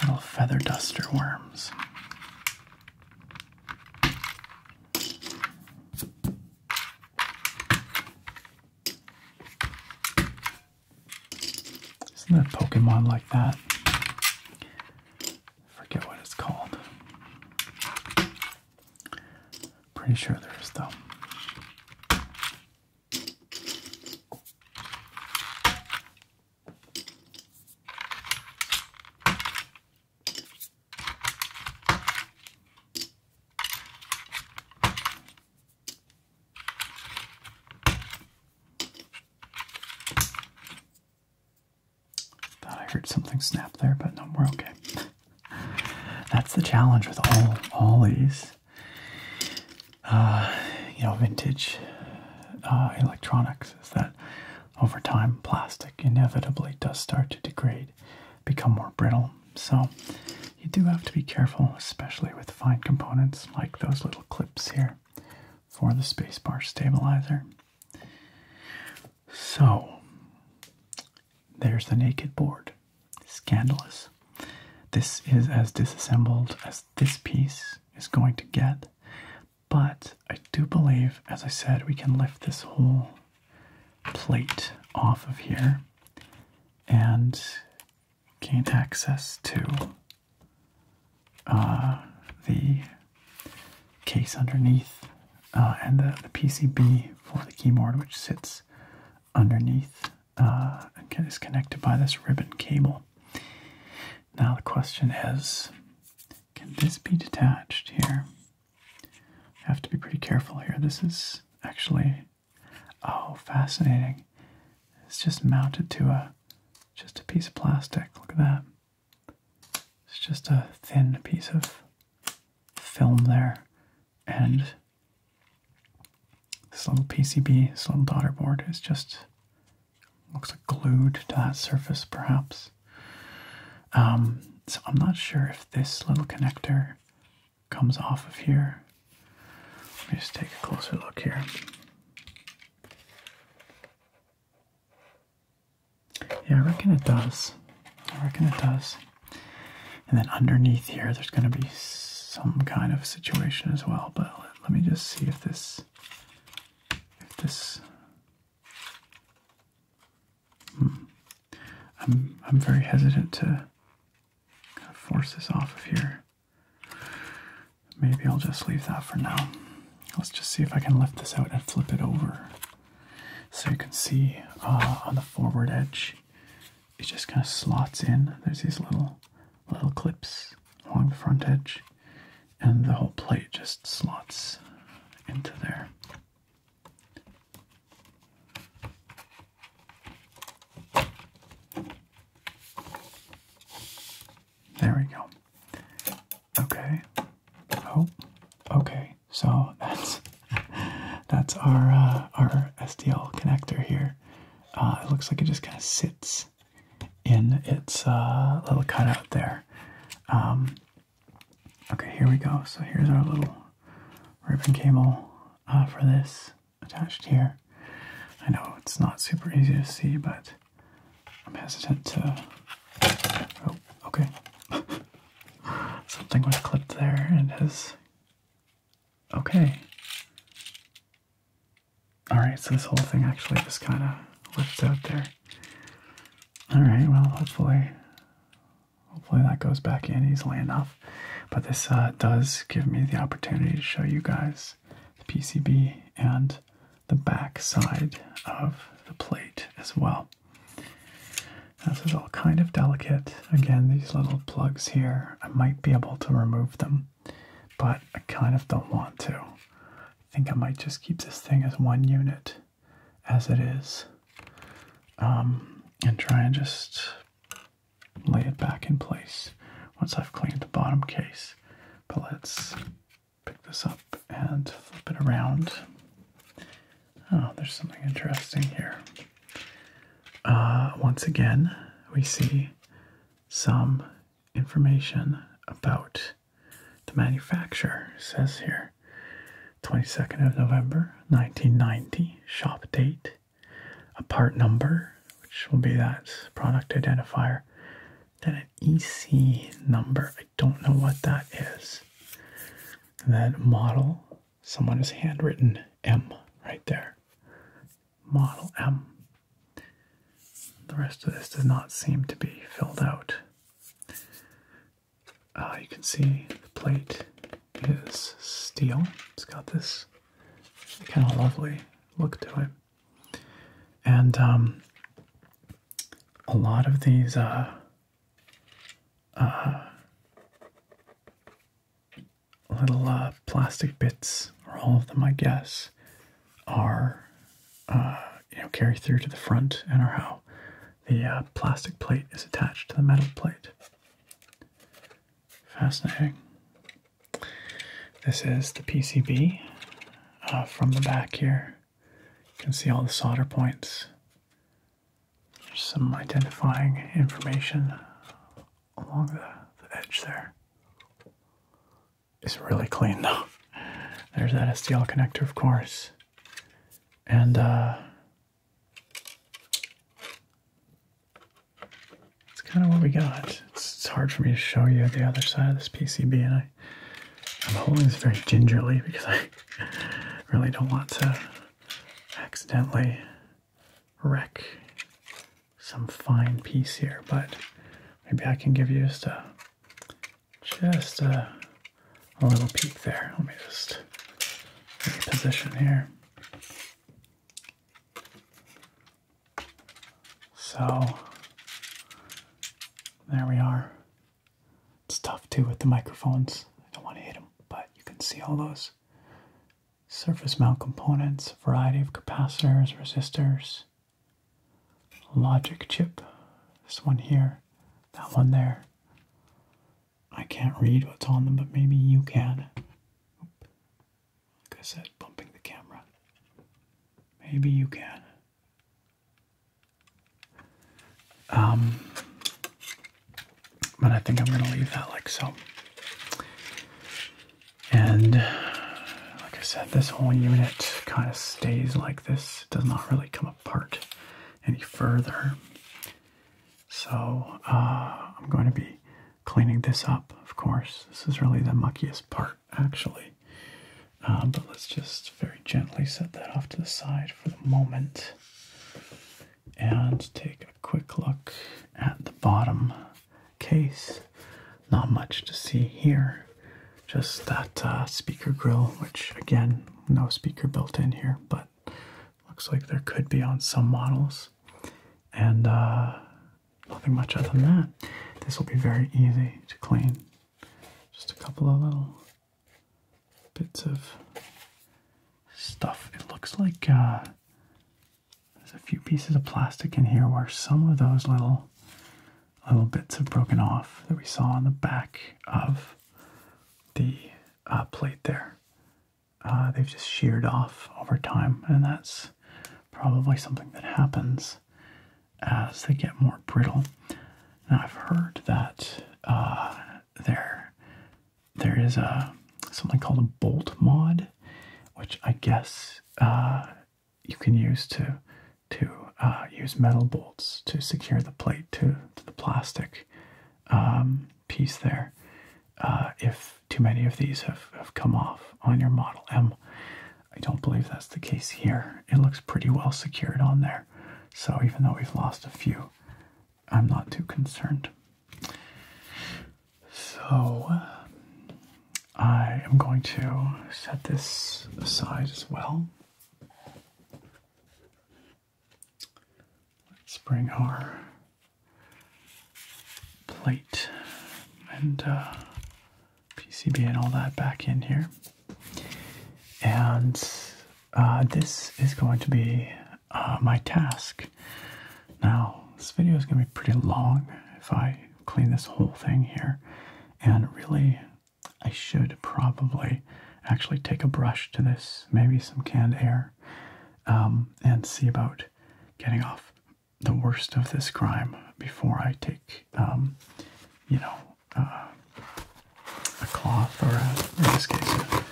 Little feather duster worms. Isn't there a Pokemon like that? Forget what it's called. Pretty sure there is though. Thought I heard something snap there, but no, more. okay. That's the challenge with all all these. Uh, you know vintage uh, electronics is that over time plastic inevitably does start to degrade, become more brittle. So you do have to be careful, especially with fine components like those little clips here for the spacebar stabilizer. So there's the naked board. Scandalous. This is as disassembled as this piece is going to get, but I do believe, as I said, we can lift this whole plate off of here and gain access to uh, the case underneath uh, and the PCB for the keyboard, which sits underneath uh, is connected by this ribbon cable. Now the question is, can this be detached here? I have to be pretty careful here. This is actually, oh, fascinating. It's just mounted to a, just a piece of plastic. Look at that. It's just a thin piece of film there. And this little PCB, this little daughter board is just looks like glued to that surface perhaps. Um, so I'm not sure if this little connector comes off of here. Let me just take a closer look here. Yeah, I reckon it does. I reckon it does. And then underneath here, there's going to be some kind of situation as well, but let, me just see if this if this hmm. I'm I'm very hesitant to force this off of here. Maybe I'll just leave that for now. Let's just see if I can lift this out and flip it over so you can see uh, on the forward edge it just kind of slots in. There's these little little clips along the front edge, and the whole plate just slots into there. There we go. Okay. Oh, okay. So [LAUGHS] that's that's our uh, our STL connector here. Uh, it looks like it just kind of sits in its uh, little cutout there. Um, okay, here we go. So here's our little ribbon cable uh, for this attached here. I know it's not super easy to see, but I'm hesitant to. Oh, okay. [LAUGHS] Something was clipped there and is. Okay. Alright, so this whole thing actually just kind of lives out there. Alright, well, hopefully, hopefully that goes back in easily enough. But this uh, does give me the opportunity to show you guys the PCB and the back side of the plate as well. this is all kind of delicate. Again, these little plugs here, I might be able to remove them but I kind of don't want to. I think I might just keep this thing as one unit as it is um, and try and just lay it back in place once I've cleaned the bottom case. But let's pick this up and flip it around. Oh, there's something interesting here. Uh, once again, we see some information about the manufacturer. says here 22nd of November 1990, shop date, a part number, which will be that product identifier, then an EC number. I don't know what that is. then model, someone has handwritten M right there. Model M. The rest of this does not seem to be filled out. Uh, you can see the plate is steel. It's got this kind of lovely look to it. And um, a lot of these uh, uh, little uh, plastic bits, or all of them, I guess, are uh, you know carry through to the front and are how the uh, plastic plate is attached to the metal plate. Fascinating. This is the PCB from the back here. You can see all the solder points. There's some identifying information along the, edge there. It's really clean though. There's that STL connector, of course. And uh, it's kind of what we got. It's, hard for me to show you the other side of this PCB, and I'm holding this very gingerly because I really don't want to accidentally wreck some fine piece here, but maybe I can give you just a just a, a little peek there. Let me just position here. So there we are. It's tough too with the microphones. I don't want to hit them, but you can see all those surface mount components, variety of capacitors, resistors, logic chip, this one here, that one there. I can't read what's on them, but maybe you can. Like I said, bumping the camera. Maybe you can. Um, but I think I'm going to leave that like so. And like I said, this whole unit kind of stays like this. does not really come apart any further. So uh, I'm going to be cleaning this up, of course. This is really the muckiest part, actually. Uh, but let's just very gently set that off to the side for the moment and take a quick look at the bottom case. Not much to see here, just that uh, speaker grill, which again, no speaker built in here, but looks like there could be on some models. And uh, nothing much other than that. This will be very easy to clean. Just a couple of little bits of stuff. It looks like uh, there's a few pieces of plastic in here where some of those little little bits have broken off that we saw on the back of the uh, plate there. Uh, they've just sheared off over time, and that's probably something that happens as they get more brittle. Now I've heard that uh, there there is a something called a bolt mod, which I guess you can use to to uh, use metal bolts to secure the plate to, the plastic um, piece there uh, if too many of these have, have come off on your Model M. I don't believe that's the case here. It looks pretty well secured on there. So even though we've lost a few, I'm not too concerned. So I am going to set this aside as well. Let's bring our plate and uh, PCB and all that back in here. And uh, this is going to be uh, my task. Now, this video is going to be pretty long if I clean this whole thing here. And really, I should probably actually take a brush to this, maybe some canned air, um, and see about getting off the worst of this crime before I take, um, you know, uh, a cloth or, in this case,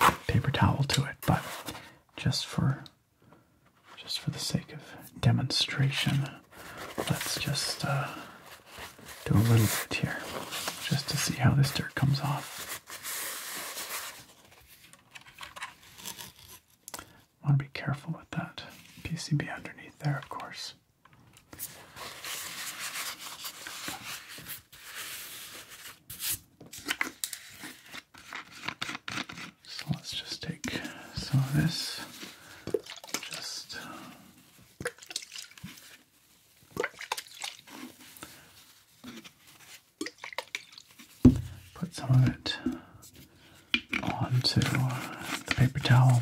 a paper towel to it. But just for just for the sake of demonstration, let's just uh, do a little bit here just to see how this dirt comes off. I want to be careful with that PCB underneath there, of course. So let's just take some of this. Just uh, put some of it onto the paper towel.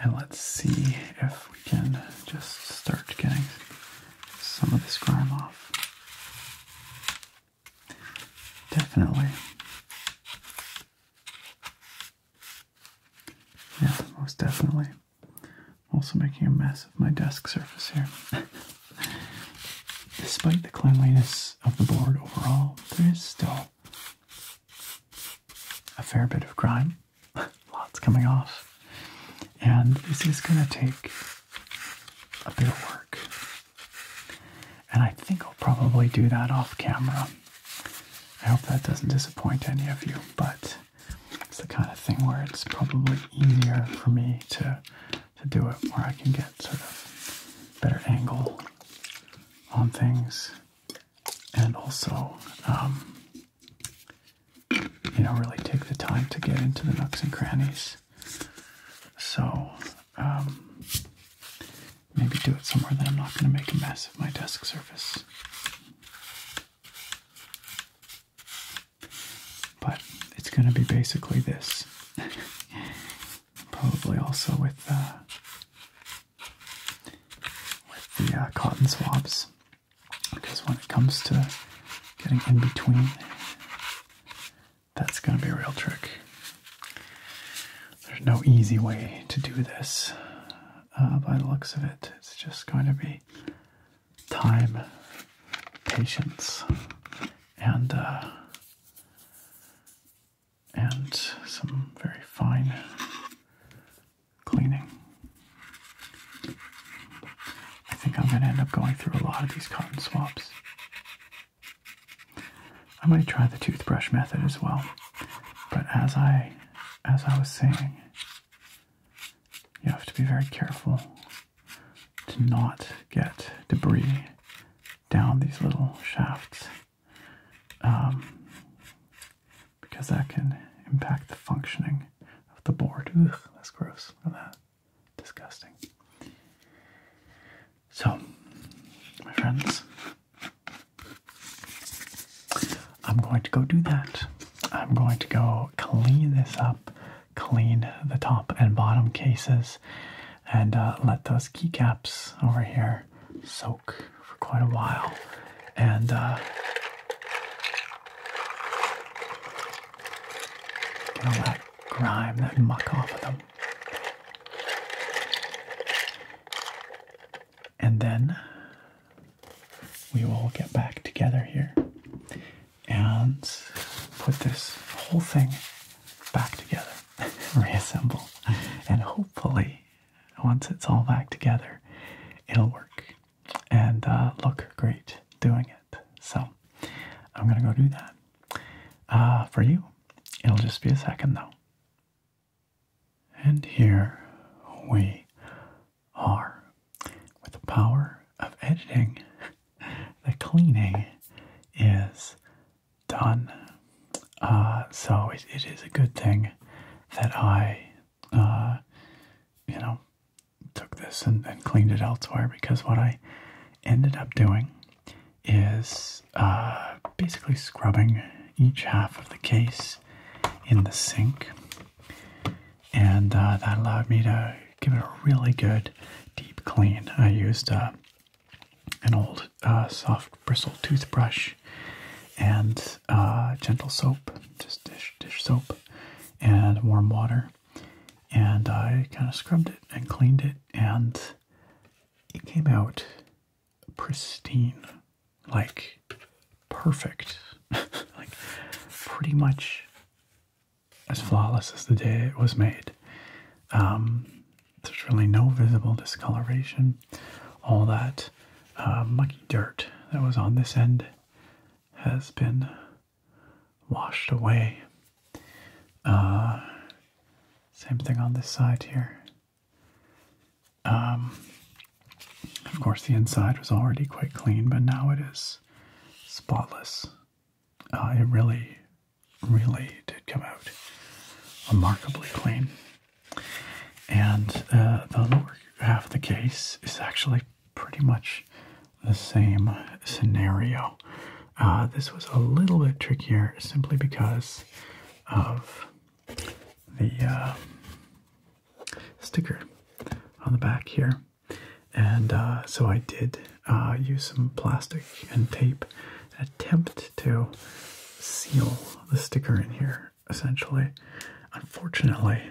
And let's see if we can just start getting some of this grime off. Definitely. Yeah, most definitely. also making a mess of my desk surface here. [LAUGHS] Despite the cleanliness of the board overall, there is still a fair bit of grime. [LAUGHS] Lots coming off. And this is going to take a bit of work and I think I'll probably do that off camera. I hope that doesn't disappoint any of you, but it's the kind of thing where it's probably easier for me to to do it where I can get sort of better angle on things and also um, you know really take the time to get into the nooks and crannies so um, Maybe do it somewhere that I'm not going to make a mess of my desk surface. But it's going to be basically this. [LAUGHS] Probably also with, uh, the uh, cotton swabs. Because when it comes to getting in between that's going to be a real trick. There's no easy way to do this uh, by the looks of it. It's just going to be time, patience, and uh, and some very fine cleaning. I think I'm going to end up going through a lot of these cotton swabs. I might try the toothbrush method as well. But as I as I was saying, you have to be very careful to not get debris down these little shafts um, because that can impact the functioning of the board. Ugh, that's gross. Look that. Disgusting. So, my friends, I'm going to go do that. I'm going to go clean this up, clean the top and bottom cases, and uh, let those keycaps over here soak for quite a while. And, uh, get all that grime, that muck off of them. And then we will get back together here and put this whole thing back together, [LAUGHS] reassemble, and hopefully, once it's all back together, it'll work and uh, look great doing it. So, I'm gonna go do that. Uh, for you, it'll just be a second though. And here we are with the power of editing. The cleaning is done. Uh, so it is a good thing that I, uh, you know, took this and, and cleaned it elsewhere because what I ended up doing is uh, basically scrubbing each half of the case in the sink, and uh, that allowed me to give it a really good deep clean. I used uh, an old soft bristle toothbrush and gentle soap, just dish dish soap, and warm water, and I kind of scrubbed it and cleaned it, and it came out pristine, like perfect, [LAUGHS] like pretty much as flawless as the day it was made. Um, there's really no visible discoloration. All that uh, mucky dirt that was on this end has been washed away. Uh, same thing on this side here. Um, of course, the inside was already quite clean, but now it is spotless. Uh, it really, really did come out remarkably clean. And uh, the lower half of the case is actually pretty much the same scenario. Uh, this was a little bit trickier simply because of the uh, sticker on the back here. And uh, so I did uh, use some plastic and tape, attempt to seal the sticker in here, essentially. Unfortunately,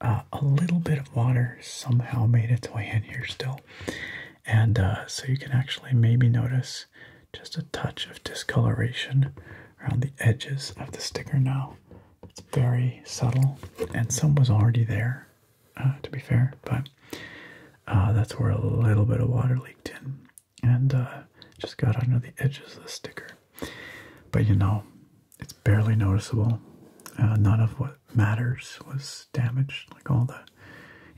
a little bit of water somehow made its way in here still. And so you can actually maybe notice just a touch of discoloration around the edges of the sticker now. It's very subtle, and some was already there, uh, to be fair, but uh, that's where a little bit of water leaked in and uh, just got under the edges of the sticker. But you know, it's barely noticeable. none of what matters was damaged, like all the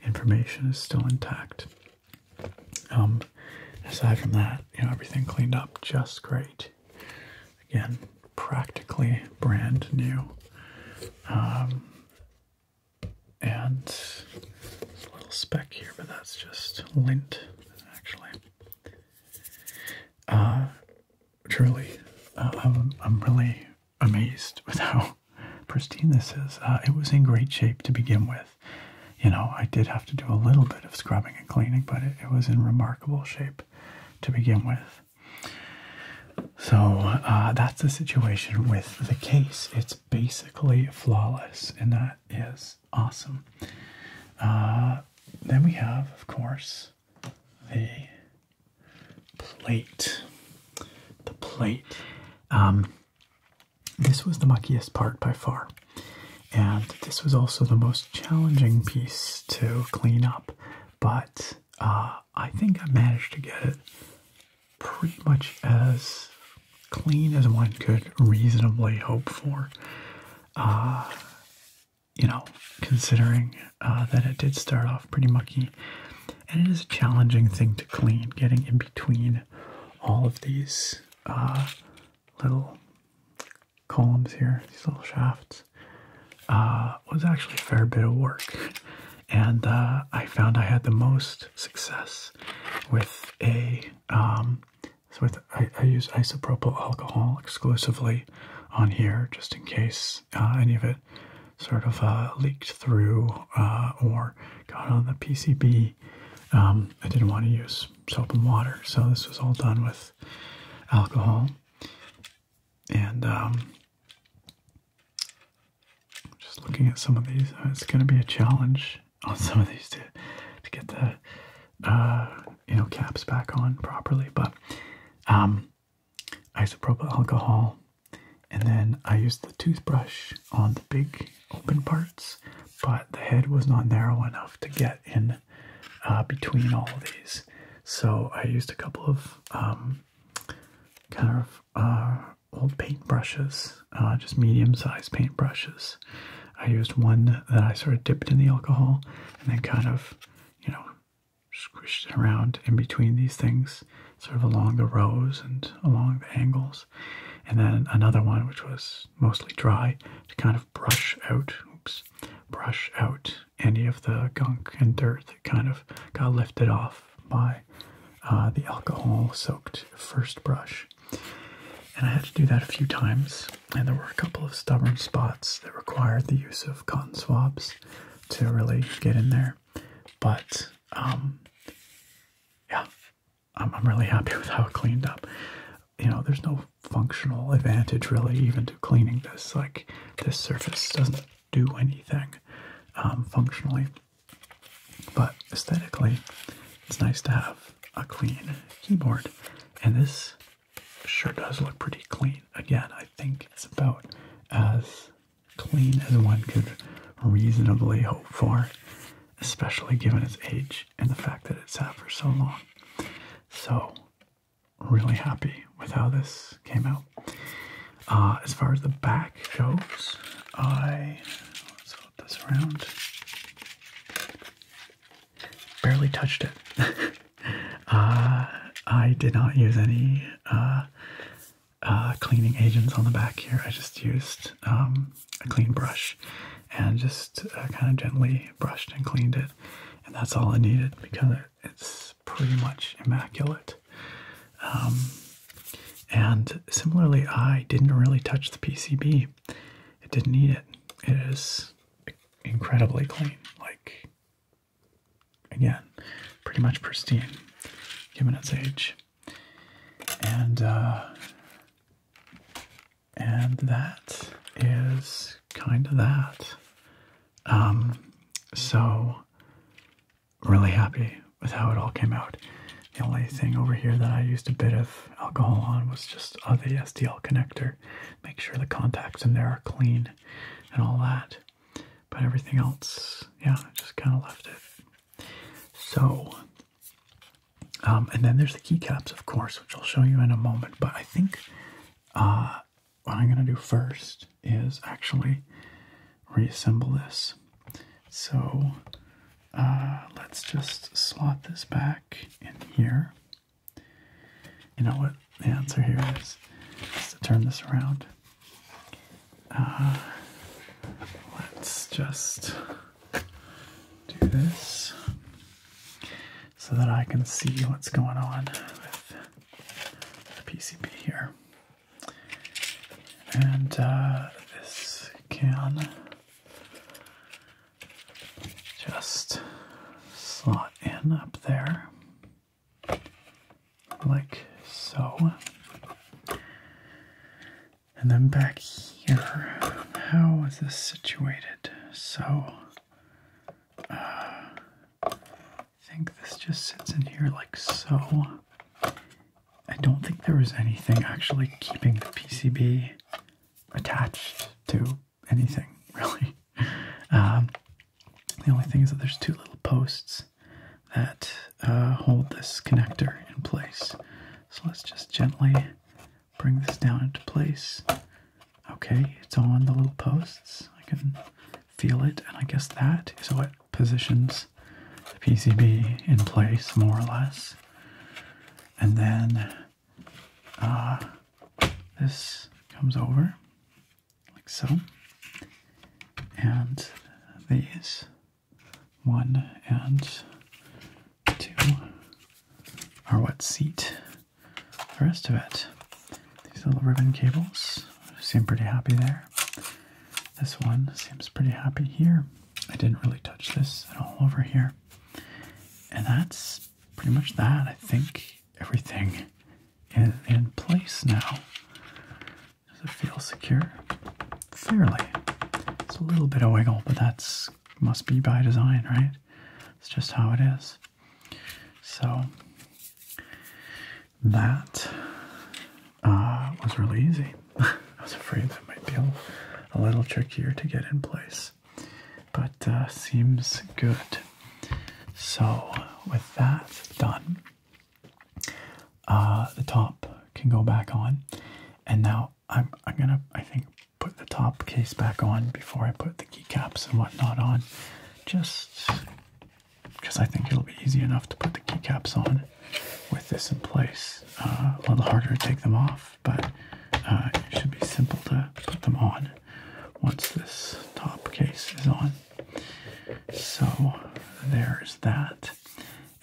information is still intact. Um, aside from that, you know, everything cleaned up just great. Again, practically brand new. Um, and a little speck here, but that's just lint, actually. Uh, truly, uh, I'm, really amazed with how [LAUGHS] pristine this is. Uh, it was in great shape to begin with. You know, I did have to do a little bit of scrubbing and cleaning, but it, was in remarkable shape to begin with. So uh, that's the situation with the case. It's basically flawless, and that is awesome. Uh, then we have, of course, the plate. The plate. Um, this was the muckiest part by far. And this was also the most challenging piece to clean up, but uh, I think I managed to get it pretty much as clean as one could reasonably hope for. Uh, you know, considering uh, that it did start off pretty mucky, and it is a challenging thing to clean, getting in between all of these uh, little columns here, these little shafts, uh, was actually a fair bit of work. [LAUGHS] And uh, I found I had the most success with a, um, so I, I use isopropyl alcohol exclusively on here just in case uh, any of it sort of uh, leaked through or got on the PCB um, I didn't want to use soap and water, so this was all done with alcohol. And um, just looking at some of these, uh, it's going to be a challenge on [LAUGHS] some of these to to get the uh, you know caps back on properly. But um, isopropyl alcohol, and then I used the toothbrush on the big open parts, but the head was not narrow enough to get in uh, between all of these. So I used a couple of um, kind of uh, old paint brushes, uh, just medium-sized paint brushes. I used one that I sort of dipped in the alcohol and then kind of, you know, squished it around in between these things, sort of along the rows and along the angles. And then another one, which was mostly dry to kind of brush out, oops, brush out any of the gunk and dirt that kind of got lifted off by uh, the alcohol-soaked first brush. And I had to do that a few times, and there were a couple of stubborn spots that required the use of cotton swabs to really get in there. But um, yeah, I'm, I'm really happy [LAUGHS] with how it cleaned up. You know, there's no functional advantage really even to cleaning this. Like this surface doesn't do anything um, functionally, but aesthetically, it's nice to have a clean keyboard. And this sure does look pretty clean. Again, I think it's about as clean as one could reasonably hope for especially given its age and the fact that it sat for so long. So, really happy with how this came out. Uh, as far as the back goes, I let's flip this around. Barely touched it. [LAUGHS] uh, I did not use any uh, uh, cleaning agents on the back here. I just used um, a clean brush and just uh, kind of gently brushed and cleaned it. And that's all I needed because it's pretty much immaculate. Um, and similarly, I didn't really touch the PCB. It didn't need it. It is incredibly clean. Like, again, pretty much pristine, given its age. And uh, and that is kind of that. Um, so, really happy with how it all came out. The only thing over here that I used a bit of alcohol on was just uh, the SDL connector. Make sure the contacts in there are clean and all that. But everything else, yeah, I just kind of left it. So, um, and then there's the keycaps, of course, which I'll show you in a moment. But I think uh, what I'm going to do first is actually reassemble this. So uh, let's just slot this back in here. You know what the answer here is? Just to turn this around. Uh, let's just do this so that I can see what's going on with the PCB here. And uh, this can just slot in up there like so. And then back here, how is this situated? So, uh, I think this just sits in here like so. I don't think there is anything actually keeping the PCB attached to anything, [LAUGHS] really. Um, the only thing is that there's two little posts that uh, hold this connector in place. So let's just gently bring this down into place. Okay, it's on the little posts. I can feel it, and I guess that is what positions the PCB in place, more or less. And then uh, this comes over, like so. And these, one and to our wet seat. The rest of it, these little ribbon cables seem pretty happy there. This one seems pretty happy here. I didn't really touch this at all over here. And that's pretty much that. I think everything is in place now. Does it feel secure? Fairly. It's a little bit of wiggle, but that's must be by design, right? It's just how it is. So that uh, was really easy. [LAUGHS] I was afraid that might be a, little trickier to get in place, but uh, seems good. So, with that done, uh, the top can go back on, and now I'm I'm gonna I think put the top case back on before I put the keycaps and whatnot on, just because I think it'll be easy enough to put the keycaps on with this in place. Uh, a little harder to take them off, but uh, it should be simple to put them on once this top case is on. So there's that,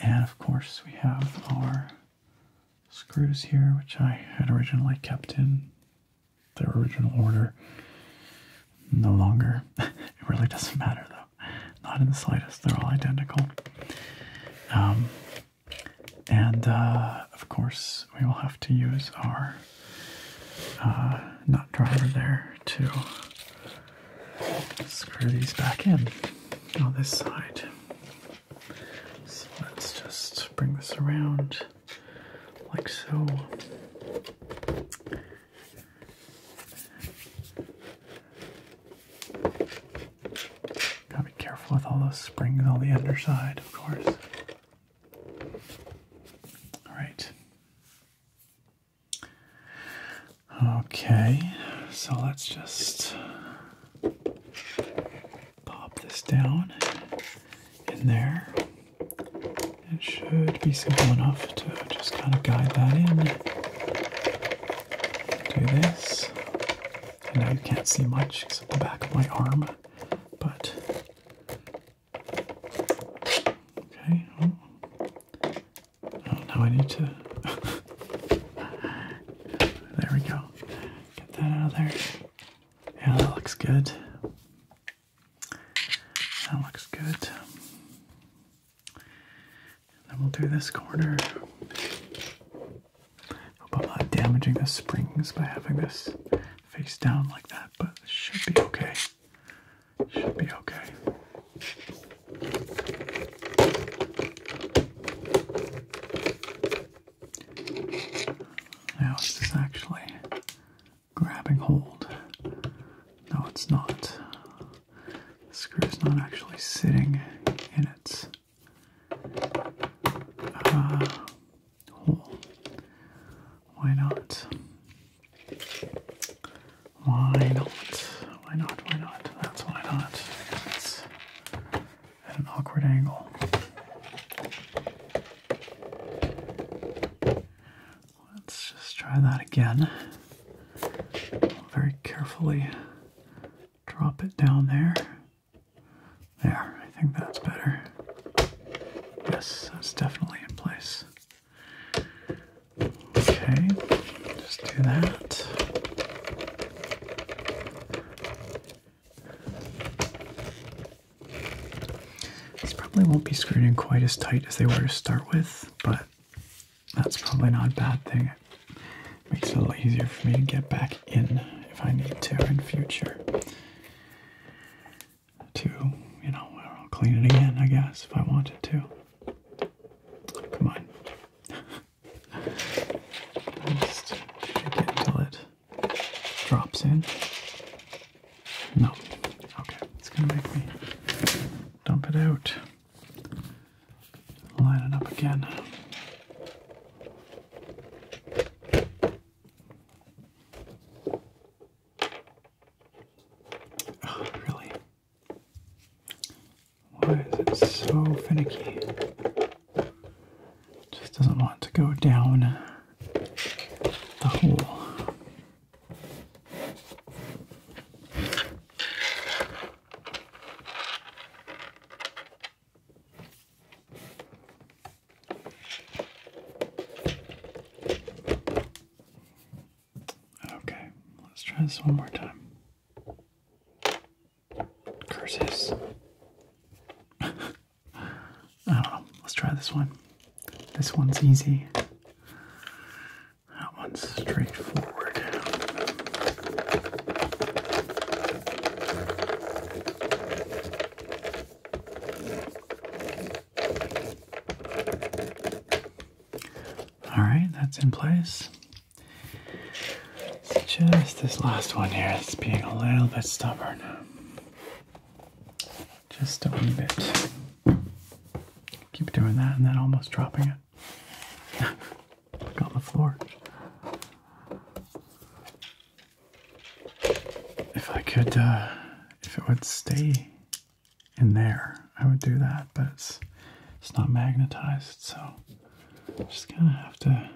and of course we have our screws here, which I had originally kept in their original order. No longer. [LAUGHS] it really doesn't matter though. Not in the slightest. They're all identical. Um, and uh, of course, we will have to use our uh, nut driver there to screw these back in on this side. So let's just bring this around like so. Gotta be careful with all those springs on the underside, of course. Alright. Okay, so let's just Pop this down in there. It should be simple enough to just kind of guide that in. Do this. And now you can't see much except the back of my arm, but. Okay. Oh. Oh, now I need to. [LAUGHS] there we go. Get that out of there. Yeah, that looks good. That looks good. then we'll do this corner. Hope I'm not damaging the springs by having this face down like that, but it should be okay. It should be okay. Now it's just actually grabbing hold? No, it's not. The screw is not actually sitting in its uh, hole. Why not? Why not? Why not? Why not? That's why not at an awkward angle. Let's just try that again. very carefully drop it down there. There, I think that's better. Yes, that's definitely in place. Okay, just do that. This probably won't be screwed in quite as tight as they were to start with, but that's probably not a bad thing. makes it a little easier for me to get back in if I need to in future. To, you know, clean it again, I guess, if I wanted to. Come on. [LAUGHS] Just shake it drops in. No. Okay, it's gonna make me dump it out. Line it up again. Oh, really? Why is it so finicky? just doesn't want to go down the hole. Okay, let's try this one more time. Curses. [LAUGHS] I don't know. Let's try this one. This one's easy. That one's straightforward. All right, that's in place. just this last one here. It's being a little bit stubborn. Just a little bit. Keep doing that and then almost dropping it. Look [LAUGHS] on the floor. If I could, uh, if it would stay in there, I would do that, but it's, it's not magnetized, so just gonna have to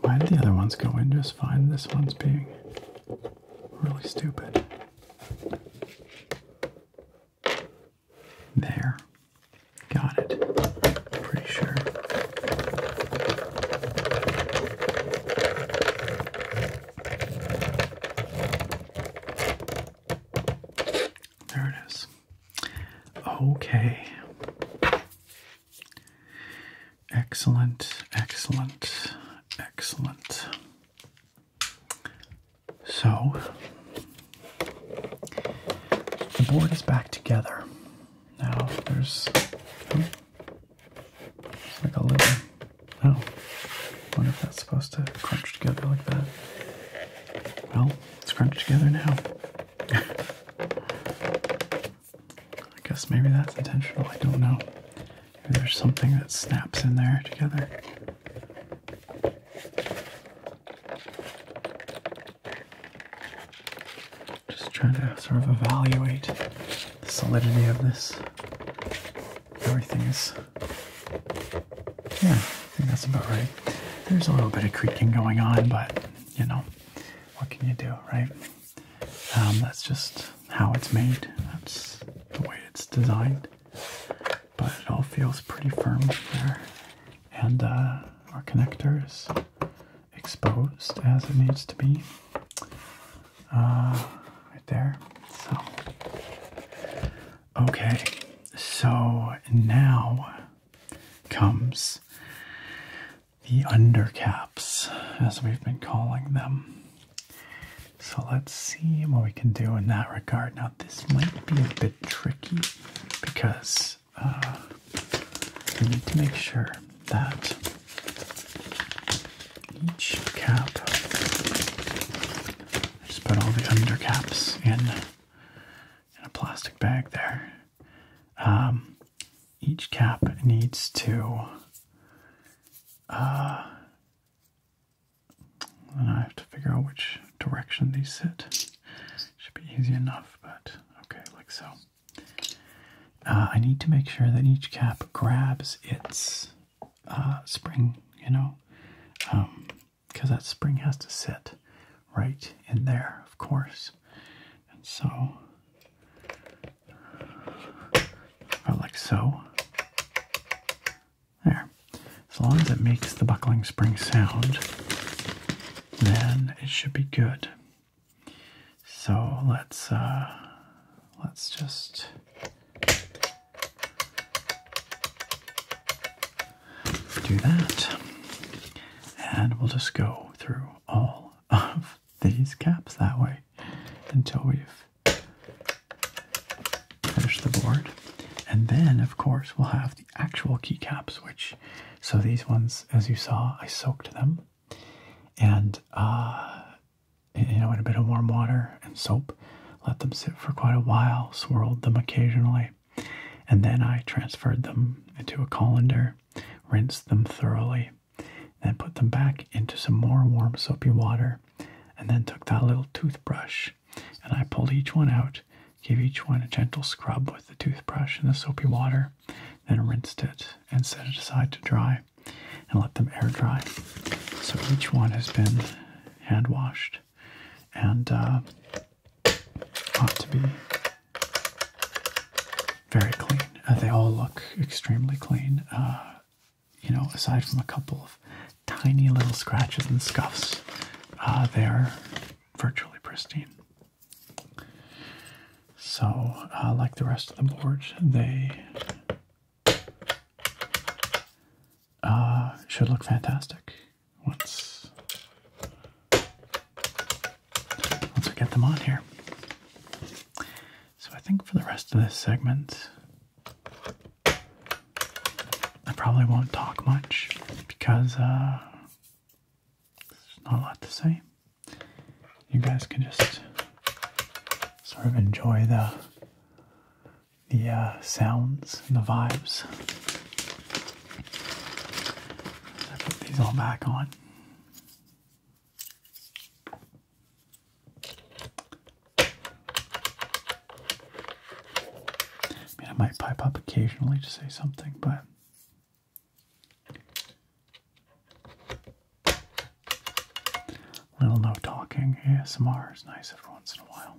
why did the other ones go in just fine? This one's being really stupid. There. Got it. Pretty sure. There it is. Okay. Excellent, excellent, excellent. So, the board is back together. Now, there's. Oh, like a little. Oh, wonder if that's supposed to crunch together like that. Well, it's crunched together now. I guess maybe that's intentional. I don't know. Maybe there's something that snaps in there together. Just trying to sort of evaluate the solidity of this. Everything is. Yeah, I think that's about right. There's a little bit of creaking going on, but you know, what can you do, right? Um, that's just how it's made. That's the way it's designed. But it all feels pretty firm there. And uh, our connector is exposed as it needs to be. Uh, right there. So, okay. So now comes the undercaps, as we've been calling them. So let's see what we can do in that regard. Now, this might be a bit tricky because uh, we need to make sure that each cap, just put all the undercaps in, in a plastic bag there. Um, each cap needs to. then uh, I have to figure out which direction they sit. Should be easy enough, but okay, like so. Uh, I need to make sure that each cap grabs its uh, spring, you know. Um, because that spring has to sit right in there, of course. And so, or like so. There. As long as it makes the buckling spring sound, then it should be good. So let's uh, let's just do that. And we'll just go through all of these caps that way until we've finished the board. And then, of course, we'll have the actual keycaps, which, so these ones, as you saw, I soaked them. And, uh, you know, in a bit of warm water and soap, let them sit for quite a while, swirled them occasionally, and then I transferred them into a colander, rinsed them thoroughly, then put them back into some more warm soapy water, and then took that little toothbrush and I pulled each one out, gave each one a gentle scrub with the toothbrush and the soapy water, then rinsed it and set it aside to dry and let them air dry. So each one has been hand washed and uh, ought to be very clean. Uh, they all look extremely clean, uh, you know, aside from a couple of tiny little scratches and scuffs, uh, they are virtually pristine. So, like the rest of the board, they should look fantastic once once I get them on here. So I think for the rest of this segment, I probably won't talk much because uh, there's not a lot to say. You guys can just sort of enjoy the the uh, sounds and the vibes I put these all back on. I mean, I might pipe up occasionally to say something, but little no talking ASMR is nice every once in a while.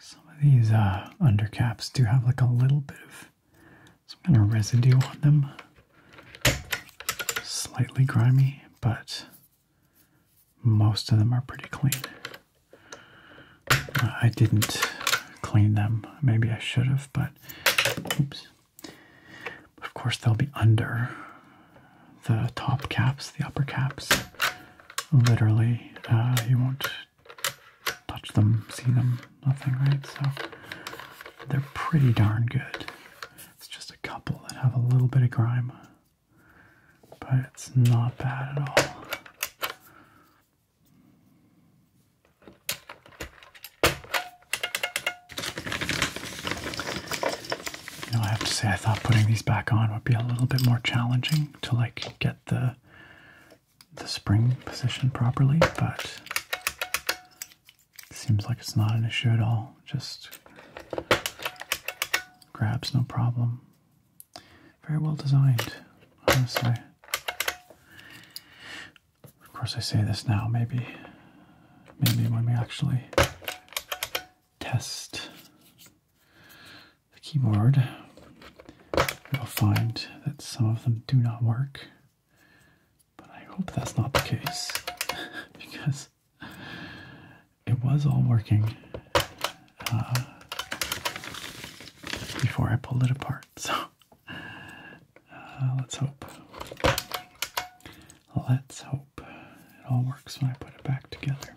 Some of these uh, undercaps do have like a little bit of some kind of residue on them. Slightly grimy, but most of them are pretty clean. Uh, I didn't clean them. Maybe I should have, but oops. Of course, they'll be under the top caps, the upper caps. Literally, uh, you won't touch them, see them, nothing, right? So they're pretty darn good. It's just a couple that have a little bit of grime, but it's not bad at all. You I have to say, I thought putting these back on would be a little bit more challenging to like get the the spring position properly, but seems like it's not an issue at all. Just grabs no problem. Very well designed, honestly. Of course, I say this now. Maybe, maybe when we actually test the keyboard, you'll find that some of them do not work. But I hope that's not the case [LAUGHS] because it was all working uh, before I pulled it apart. [LAUGHS] So uh, let's hope. Let's hope it all works when I put it back together.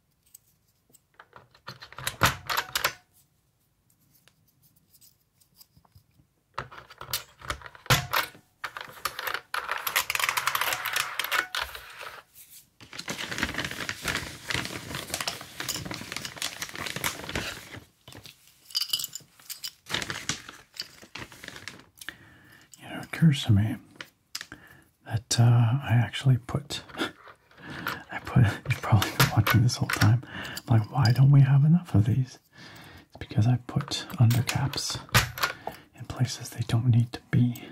You know, it occurs to me that uh, I actually put [LAUGHS] I put you've probably been watching this whole time. like, why don't we have enough of these? It's because I put undercaps in places they don't need to be.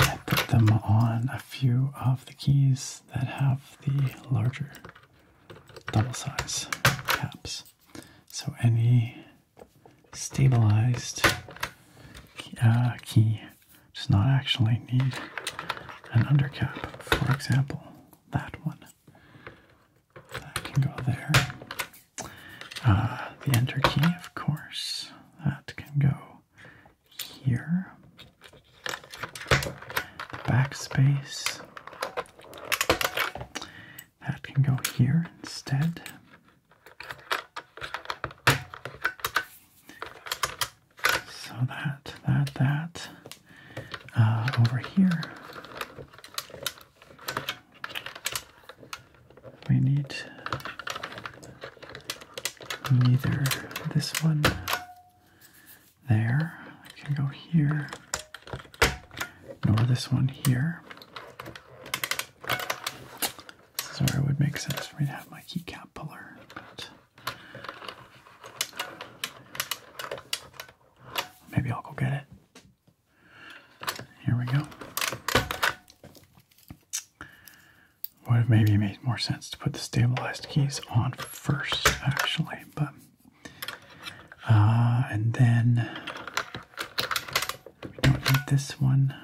I put them on a few of the keys that have the larger double size caps. So any stabilized key uh, does not actually need an undercap. For example, that one. That can go there. Uh, the enter key, of course, that can go here. The Backspace. That can go here instead. So that, that, that uh, over here. We need neither this one there, I can go here, nor this one here. This is where it would make sense for me to have my keycap puller. But Maybe I'll go get it. Here we go. Would have maybe made more sense to put the stabilized keys on first, actually, but uh, and then we don't need this one.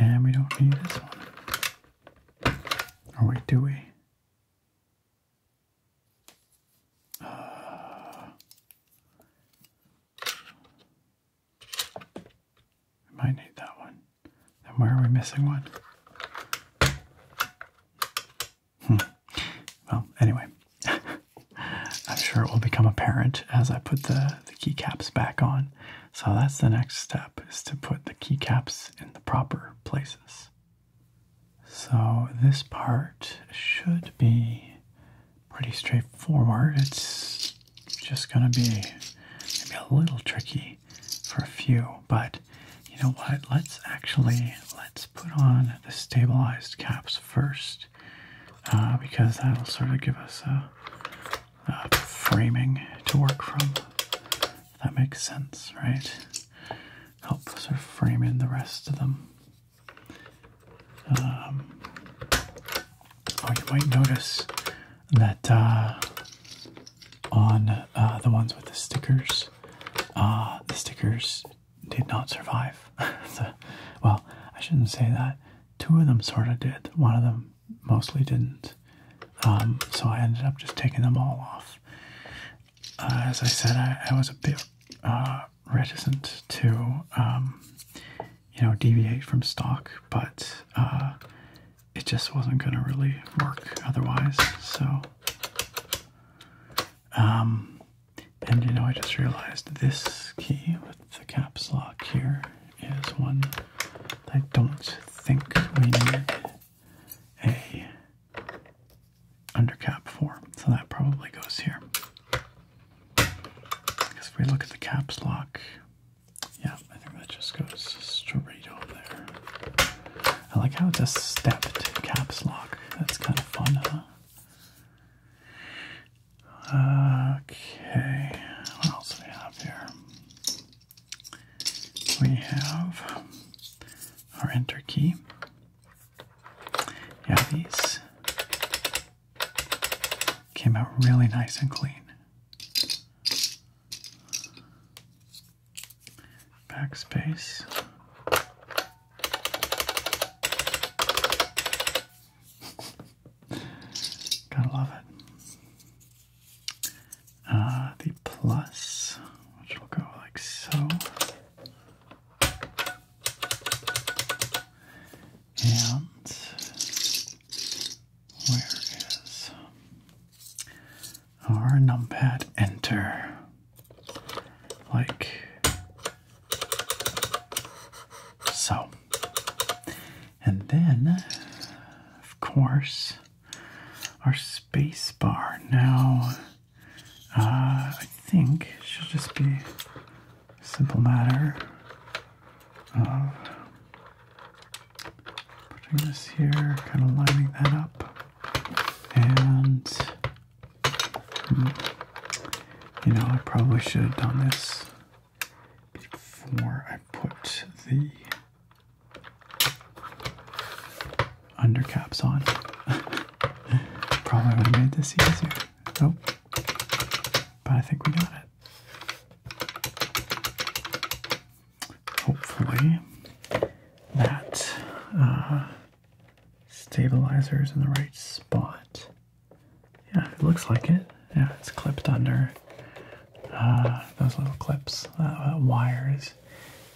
And we don't need this one. Oh wait, do we? I uh, might need that one. Then where are we missing one? Hmm. Well, anyway. [LAUGHS] I'm sure it will become apparent as I put the, the keycaps back on. So that's the next step is to put the keycaps in the proper places. So this part should be pretty straightforward. It's just going to be maybe a little tricky for a few, but you know what? Let's actually let's put on the stabilized caps first. Uh, because that'll sort of give us a, framing to work from. That makes sense, right? Help sort of frame in the rest of them. Um, oh, you might notice that uh, on uh, the ones with the stickers, the stickers did not survive. [LAUGHS] well, I shouldn't say that two of them sort of did, one of them mostly didn't. Um, so I ended up just taking them all off. Uh, as I said, I, was a bit uh, reticent to, um, you know, deviate from stock, but uh, it just wasn't going to really work otherwise. So, um, and you know, I just realized this key the caps lock here is one I don't think we need a undercap for, so that probably goes here. Because if we look at the caps lock, yeah, I think that just goes straight over there. I like how it's a stepped caps lock. That's kind of fun, huh? Okay, what else do we have here? We have our enter key. Yeah, these came out really nice and clean. Backspace. Gotta love it. Uh, the plus, which will go like so. And where is our numpad enter? Like so. And then, of course, our space bar. Now, uh, I think it should just be a simple matter of putting this here, kind of lining that up, and hmm, you know, I probably should have done this before I put the undercaps on. [LAUGHS] Probably would made this easier. Nope. But I think we got it. Hopefully that uh, stabilizer is in the right spot. Yeah, it looks like it. Yeah, it's clipped under uh, those little clips, uh, uh, wires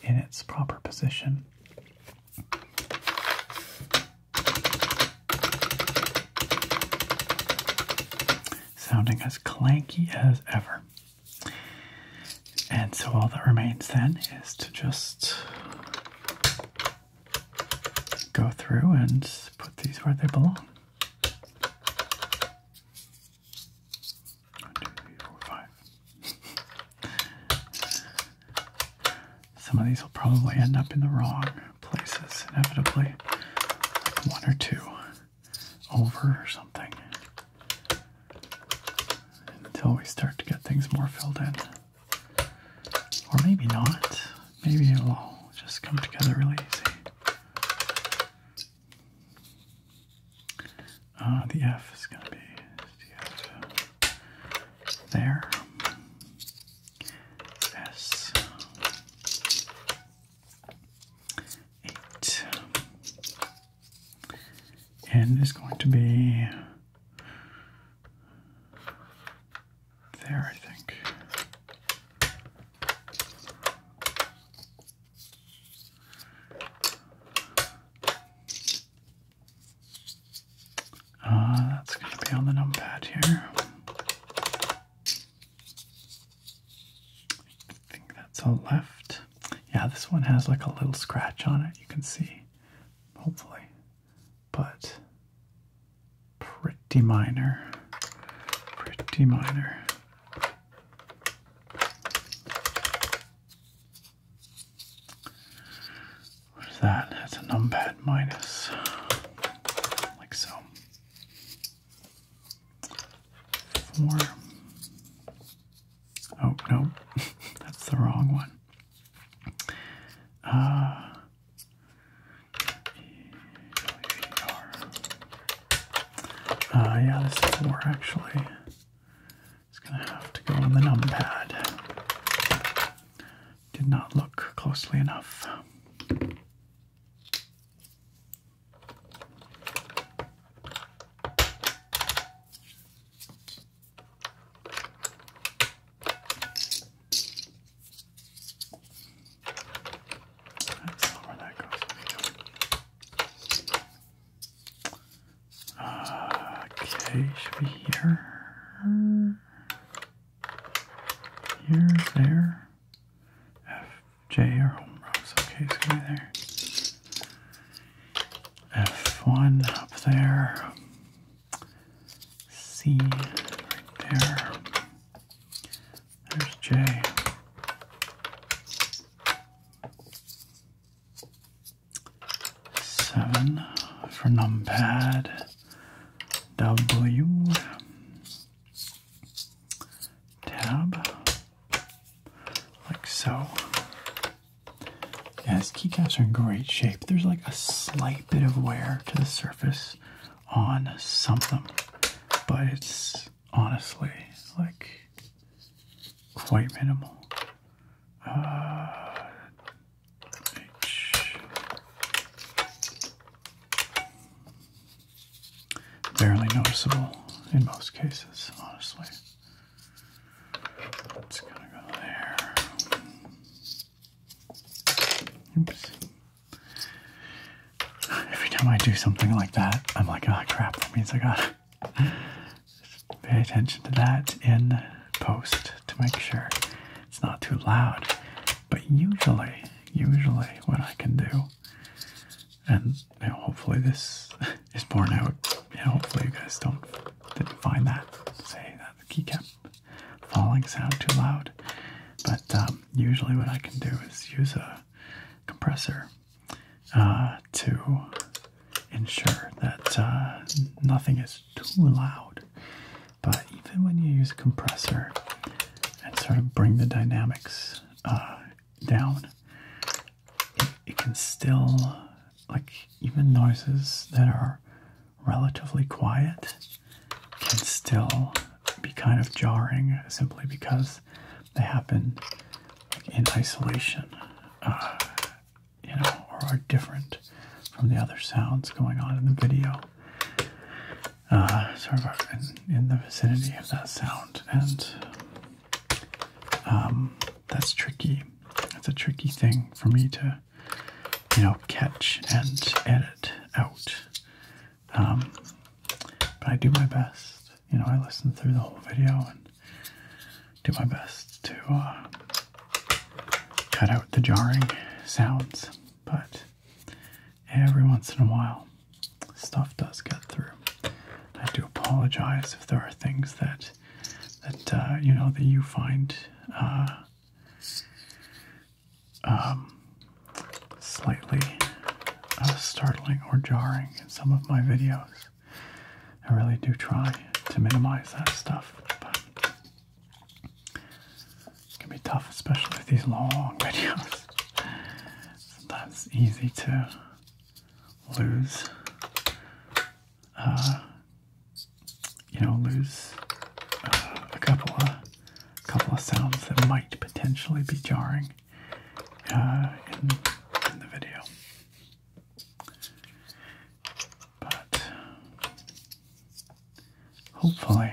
in its proper position. Sounding as clanky as ever. And so all that remains then is to just go through and put these where they belong. One, two, three, four, five. Some of these will probably end up in the wrong places, inevitably. one or two over or something. Until we start to get things more filled in. Or maybe not maybe it'll all just come together really easy. Uh, the F is going to be there. S. Eight. N is going to be there, I think. Uh, that's going to be on the numpad here. I think that's a left. Yeah, this one has like a little scratch on it, you can see, hopefully. But pretty minor. Pretty minor. What is that? That's a pad minus. Like so. Four. Oh, no, [LAUGHS] that's the wrong one. Uh, uh, yeah, this is more actually. It's gonna have to go on the numpad. Did not look closely enough. Uh, okay, should be here. Here, there. F, J, or home rows. Okay, there. F1 up there. C right there. There's J. Seven for numpad W tab like so. Yeah, his keycaps are in great shape. There's like a slight bit of wear to the surface on something, but it's honestly like quite minimal. Uh, barely noticeable in most cases, honestly. It's gonna go there. Oops. Every time I do something like that, I'm like, oh, crap, that means I gotta pay attention to that in post to make sure it's not too loud. But usually, usually what I can do, and hopefully this [LAUGHS] is borne out, hopefully you guys don't didn't find that, say that the keycap falling sound too loud. But um, usually what I can do is use a compressor uh, to ensure that uh, nothing is too loud. But even when you use a compressor and sort of bring the dynamics uh, down, it can still, like, even noises that are relatively quiet can still be kind of jarring simply because they happen in isolation, uh, you know, or are different from the other sounds going on in the video. Uh, sort of in, the vicinity of that sound, and um, that's tricky. It's a tricky thing for me to, you know, catch and edit out um, but I do my best. You know, I listen through the whole video and do my best to uh, cut out the jarring sounds. But every once in a while, stuff does get through. I do apologize if there are things that that uh, you know that you find uh, um, slightly uh, startling or jarring in some of my videos. I really do try to minimize that stuff, but it can be tough, especially with these long [LAUGHS] videos. That's easy to lose, uh, you know, lose uh, a couple of couple of sounds that might potentially be jarring uh, in the video. But hopefully,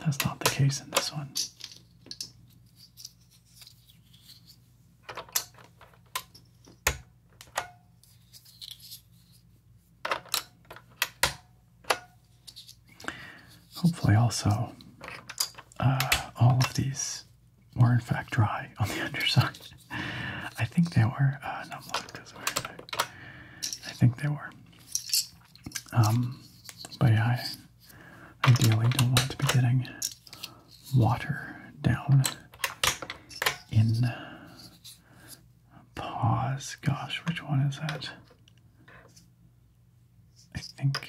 that's not the case in this one. Hopefully, also, uh, all of these were in fact dry [LAUGHS] on the underside. I think they were. Uh, not I think they were. Um, but I ideally don't want to be getting water down in. Uh, Pause. Gosh, which one is that? I think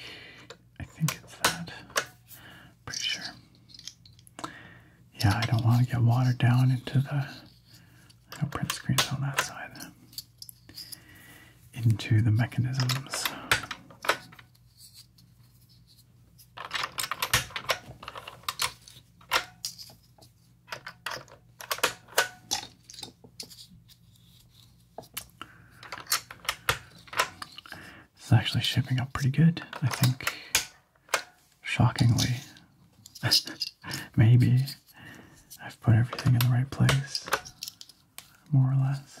I think it's that. Pretty sure. Yeah, I don't want to get water down into the print screens on that side. Into the mechanisms. It's actually shaping up pretty good, I think. Shockingly. [LAUGHS] Maybe I've put everything in the right place, more or less.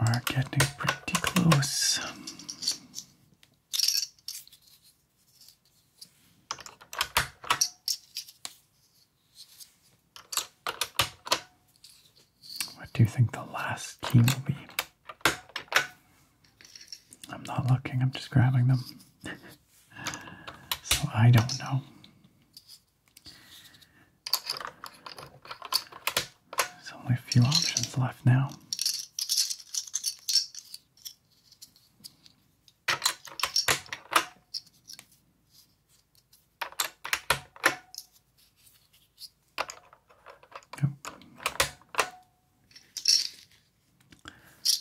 We're getting pretty close. What do you think the last key will be? I'm not looking, I'm just grabbing them. so I don't know. There's only a few options left now.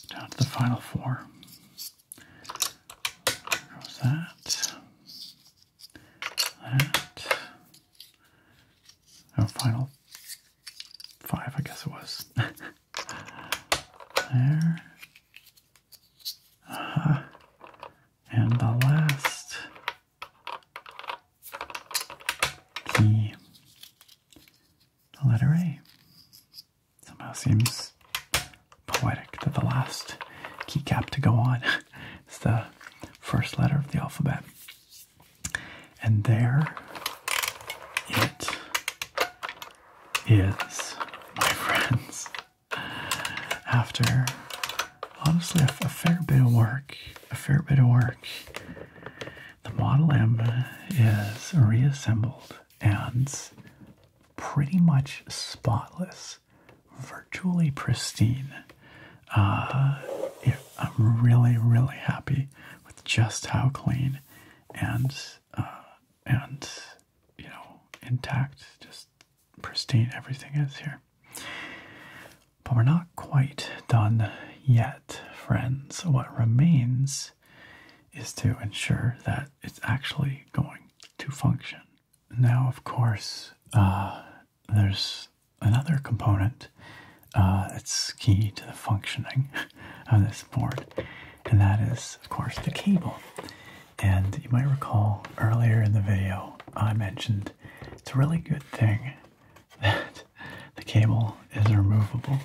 Down to the final four. There goes that. That. Oh, final five, I guess it was. [LAUGHS] there. Uh, and the last key, the letter A, somehow seems poetic that the last keycap to go on [LAUGHS] is the first letter of the alphabet. And there it is, my [LAUGHS] friends, after honestly a, fair bit of work, a fair bit of work, the Model M is reassembled and pretty much spotless, virtually pristine. Uh, I'm really, really happy with just how clean and uh, and you know intact, just pristine. Everything is here, but we're not quite done yet, friends. What remains is to ensure that it's actually going to function. Now, of course, uh, there's another component uh, that's key to the functioning [LAUGHS] of this board, and that is, of course, the cable. And you might recall earlier in the video, I mentioned it's a really good thing [LAUGHS] that the cable is removable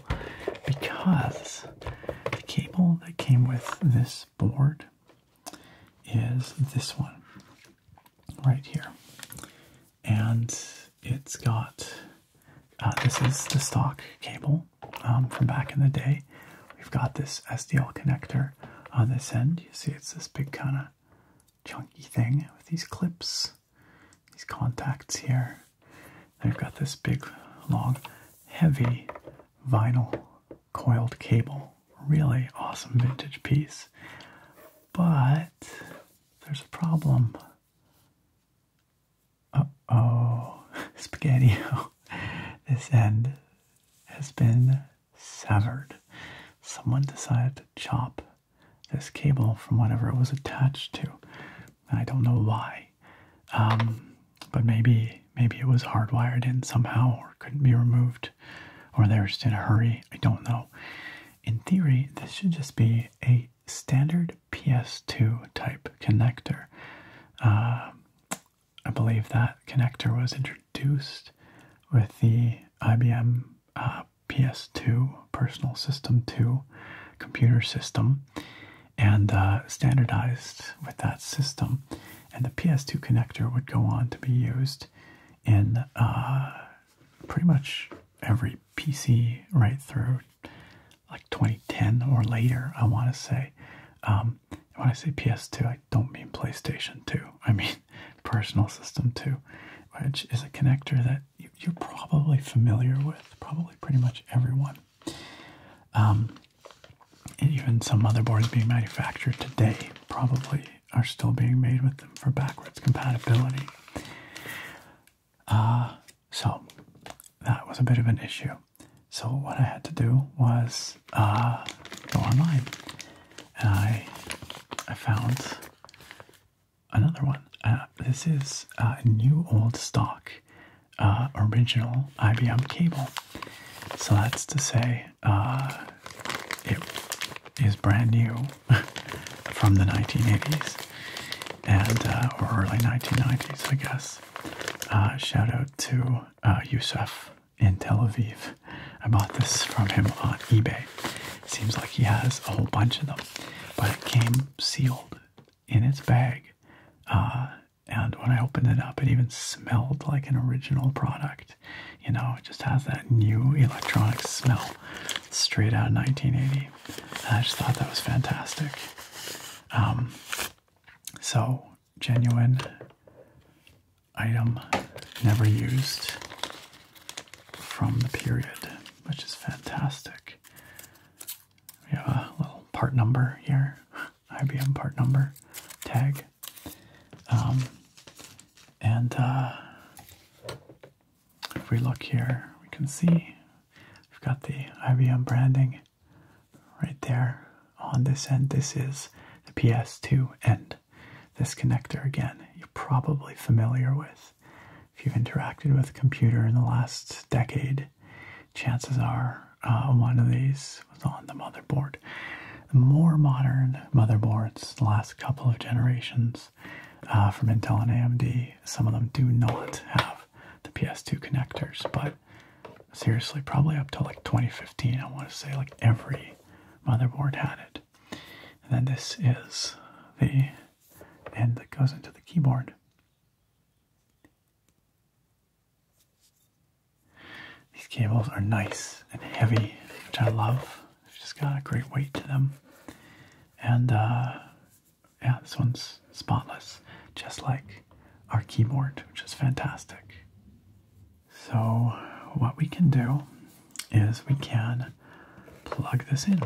because the cable that came with this board is this one right here. And it's got uh, this is the stock cable um, from back in the day. We've got this SDL connector on this end. You see it's this big kind of chunky thing with these clips, these contacts here. Then we've got this big, long, heavy vinyl coiled cable. Really awesome vintage piece. But there's a problem. Uh oh, [LAUGHS] spaghetti. [LAUGHS] This end has been severed. Someone decided to chop this cable from whatever it was attached to. I don't know why, um, but maybe maybe it was hardwired in somehow or couldn't be removed, or they're just in a hurry. I don't know. In theory, this should just be a standard PS2 type connector. Uh, I believe that connector was introduced with the IBM uh, PS2 Personal System 2 computer system and uh, standardized with that system. And the PS2 connector would go on to be used in uh, pretty much every PC right through like 2010 or later, I want to say. Um, when I say PS2, I don't mean PlayStation 2. I mean [LAUGHS] personal system 2, which is a connector that you're probably familiar with, probably pretty much everyone. Um, even some motherboards being manufactured today probably are still being made with them for backwards compatibility. Uh, so that was a bit of an issue. So what I had to do was uh, go online, and I I found another one. Uh, this is a new old stock uh, original IBM cable. So that's to say, it is brand new [LAUGHS] from the 1980s and or early 1990s, I guess. shout out to uh, Yusuf in Tel Aviv. I bought this from him on eBay. Seems like he has a whole bunch of them, but it came sealed in its bag. Uh, and when I opened it up, it even smelled like an original product. You know, it just has that new electronic smell straight out of 1980. I just thought that was fantastic. Um, so genuine item never used from the period, which is fantastic. We have a little part number here, [LAUGHS] IBM part number tag. Um, and uh, if we look here, we can see we've got the IBM branding right there on this end. This is the PS2 end. This connector, again, you're probably familiar with. If you've interacted with a computer in the last decade, chances are uh, one of these was on the motherboard. The more modern motherboards, the last couple of generations uh, from Intel and AMD, some of them do not have the PS2 connectors, but seriously, probably up till like 2015, I want to say like every motherboard had it. And then this is the end that goes into the keyboard. These cables are nice and heavy, which I love. they just got a great weight to them. And uh, yeah, this one's spotless, just like our keyboard, which is fantastic. So, what we can do is we can plug this in.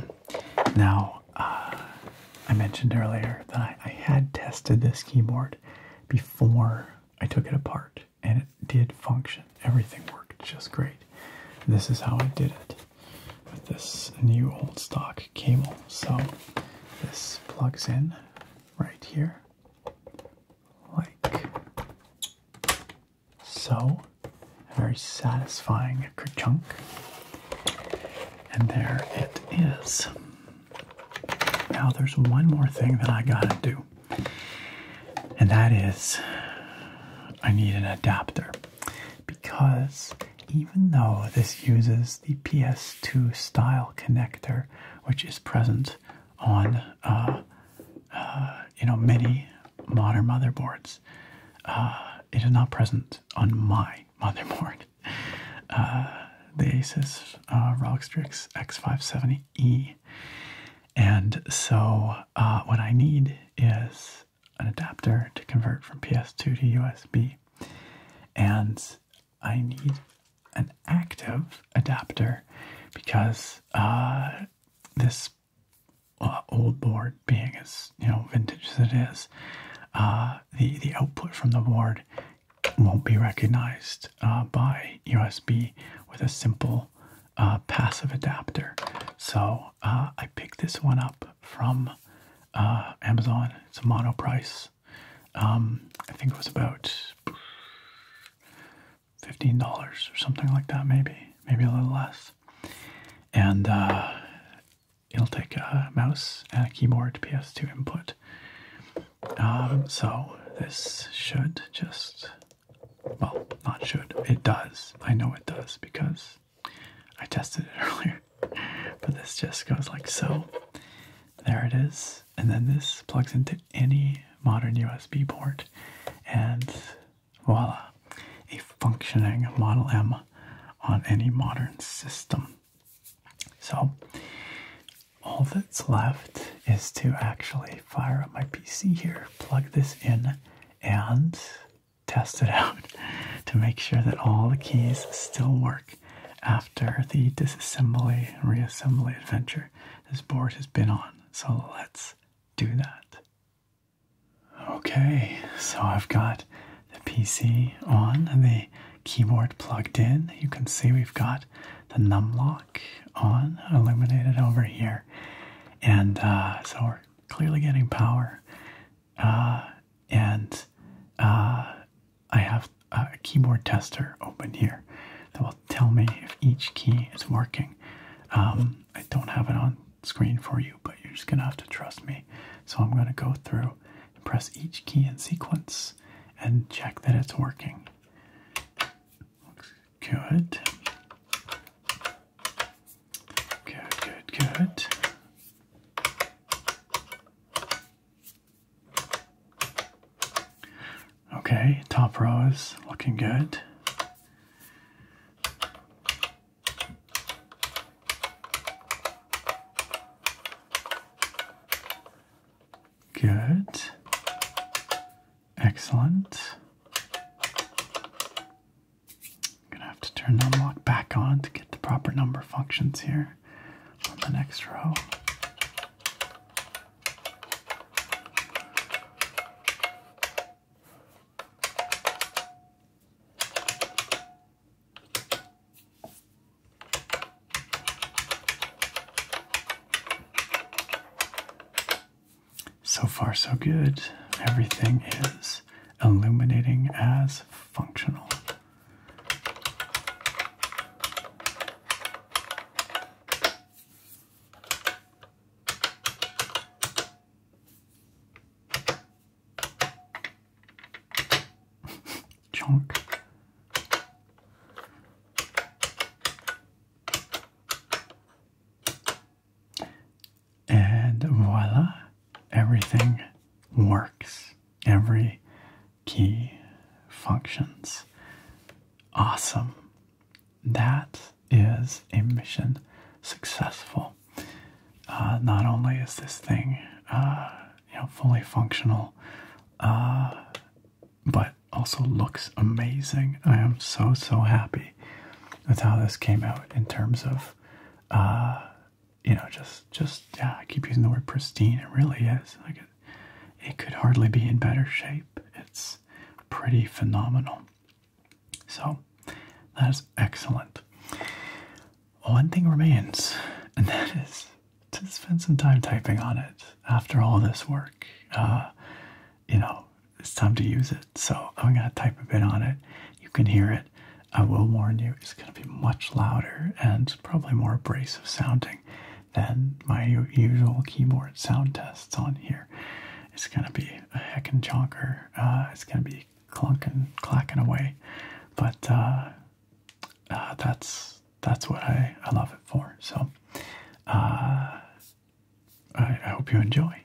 Now, uh, I mentioned earlier that I had tested this keyboard before I took it apart, and it did function. Everything worked just great. This is how I did it with this new old stock cable. So, this plugs in right here like so. A very satisfying kerchunk. And there it is. Now there's one more thing that I gotta do. And that is I need an adapter. Because even though this uses the PS2 style connector, which is present on uh, uh, you know many modern motherboards. Uh, it is not present on my [LAUGHS] motherboard. the Asus uh, ROG Strix X570E, and so what I need is an adapter to convert from PS2 to USB, and I need an active adapter because uh, this uh, old board, being as you know vintage as it is, uh, the the output from the board won't be recognized by USB with a simple passive adapter. So I picked this one up from Amazon. It's a mono price. Um, I think it was about $15 or something like that, maybe, maybe a little less. And uh, it'll take a mouse and a keyboard PS2 input. Um, so this should just, well, not should, it does. I know it does because I tested it [LAUGHS] earlier. But this just goes like so. There it is and then this plugs into any modern USB port, and voila, a functioning Model M on any modern system. So, all that's left is to actually fire up my PC here, plug this in, and test it [LAUGHS] out to make sure that all the keys still work after the disassembly and reassembly adventure this board has been on. So let's do that. Okay, so I've got the PC on and the keyboard plugged in. You can see we've got the num lock on, illuminated over here. And uh, so we're clearly getting power. Uh, and uh, I have a keyboard tester open here that will tell me if each key is working. Um, I don't have it on screen for you, but you're just gonna have to trust me. So I'm gonna go through press each key in sequence and check that it's working. good. Good, good, good. Okay, top row is looking good. Good. Excellent. gonna have to turn unlock back on to get the proper number functions here on the next row. So far, so good. Everything is illuminating as functional. Chunk. And voila, everything works. Every key functions. Awesome that is a mission successful. Uh, not only is this thing uh, you know fully functional, uh, but also looks amazing. I am so so happy with how this came out in terms of you know just just yeah. I keep using the word pristine. It really is it could hardly be in better shape. It's pretty phenomenal. So that's excellent. One thing remains, and that is to spend some time typing on it after all this work. Uh, you know, it's time to use it. So I'm going to type a bit on it. You can hear it. I will warn you, it's going to be much louder and probably more abrasive sounding than my usual keyboard sound tests on here. It's gonna be a heckin' chonker. Uh, it's gonna be clunking, clacking away, but uh, uh, that's that's what I, love it for. So uh, I hope you enjoy.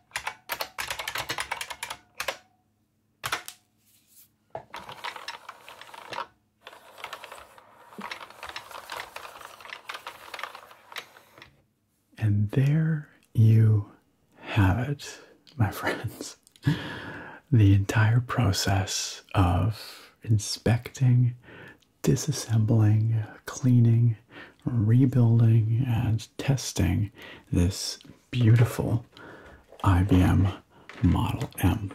And there you have it, my friends. [LAUGHS] The entire process of inspecting, disassembling, cleaning, rebuilding, and testing this beautiful IBM Model M.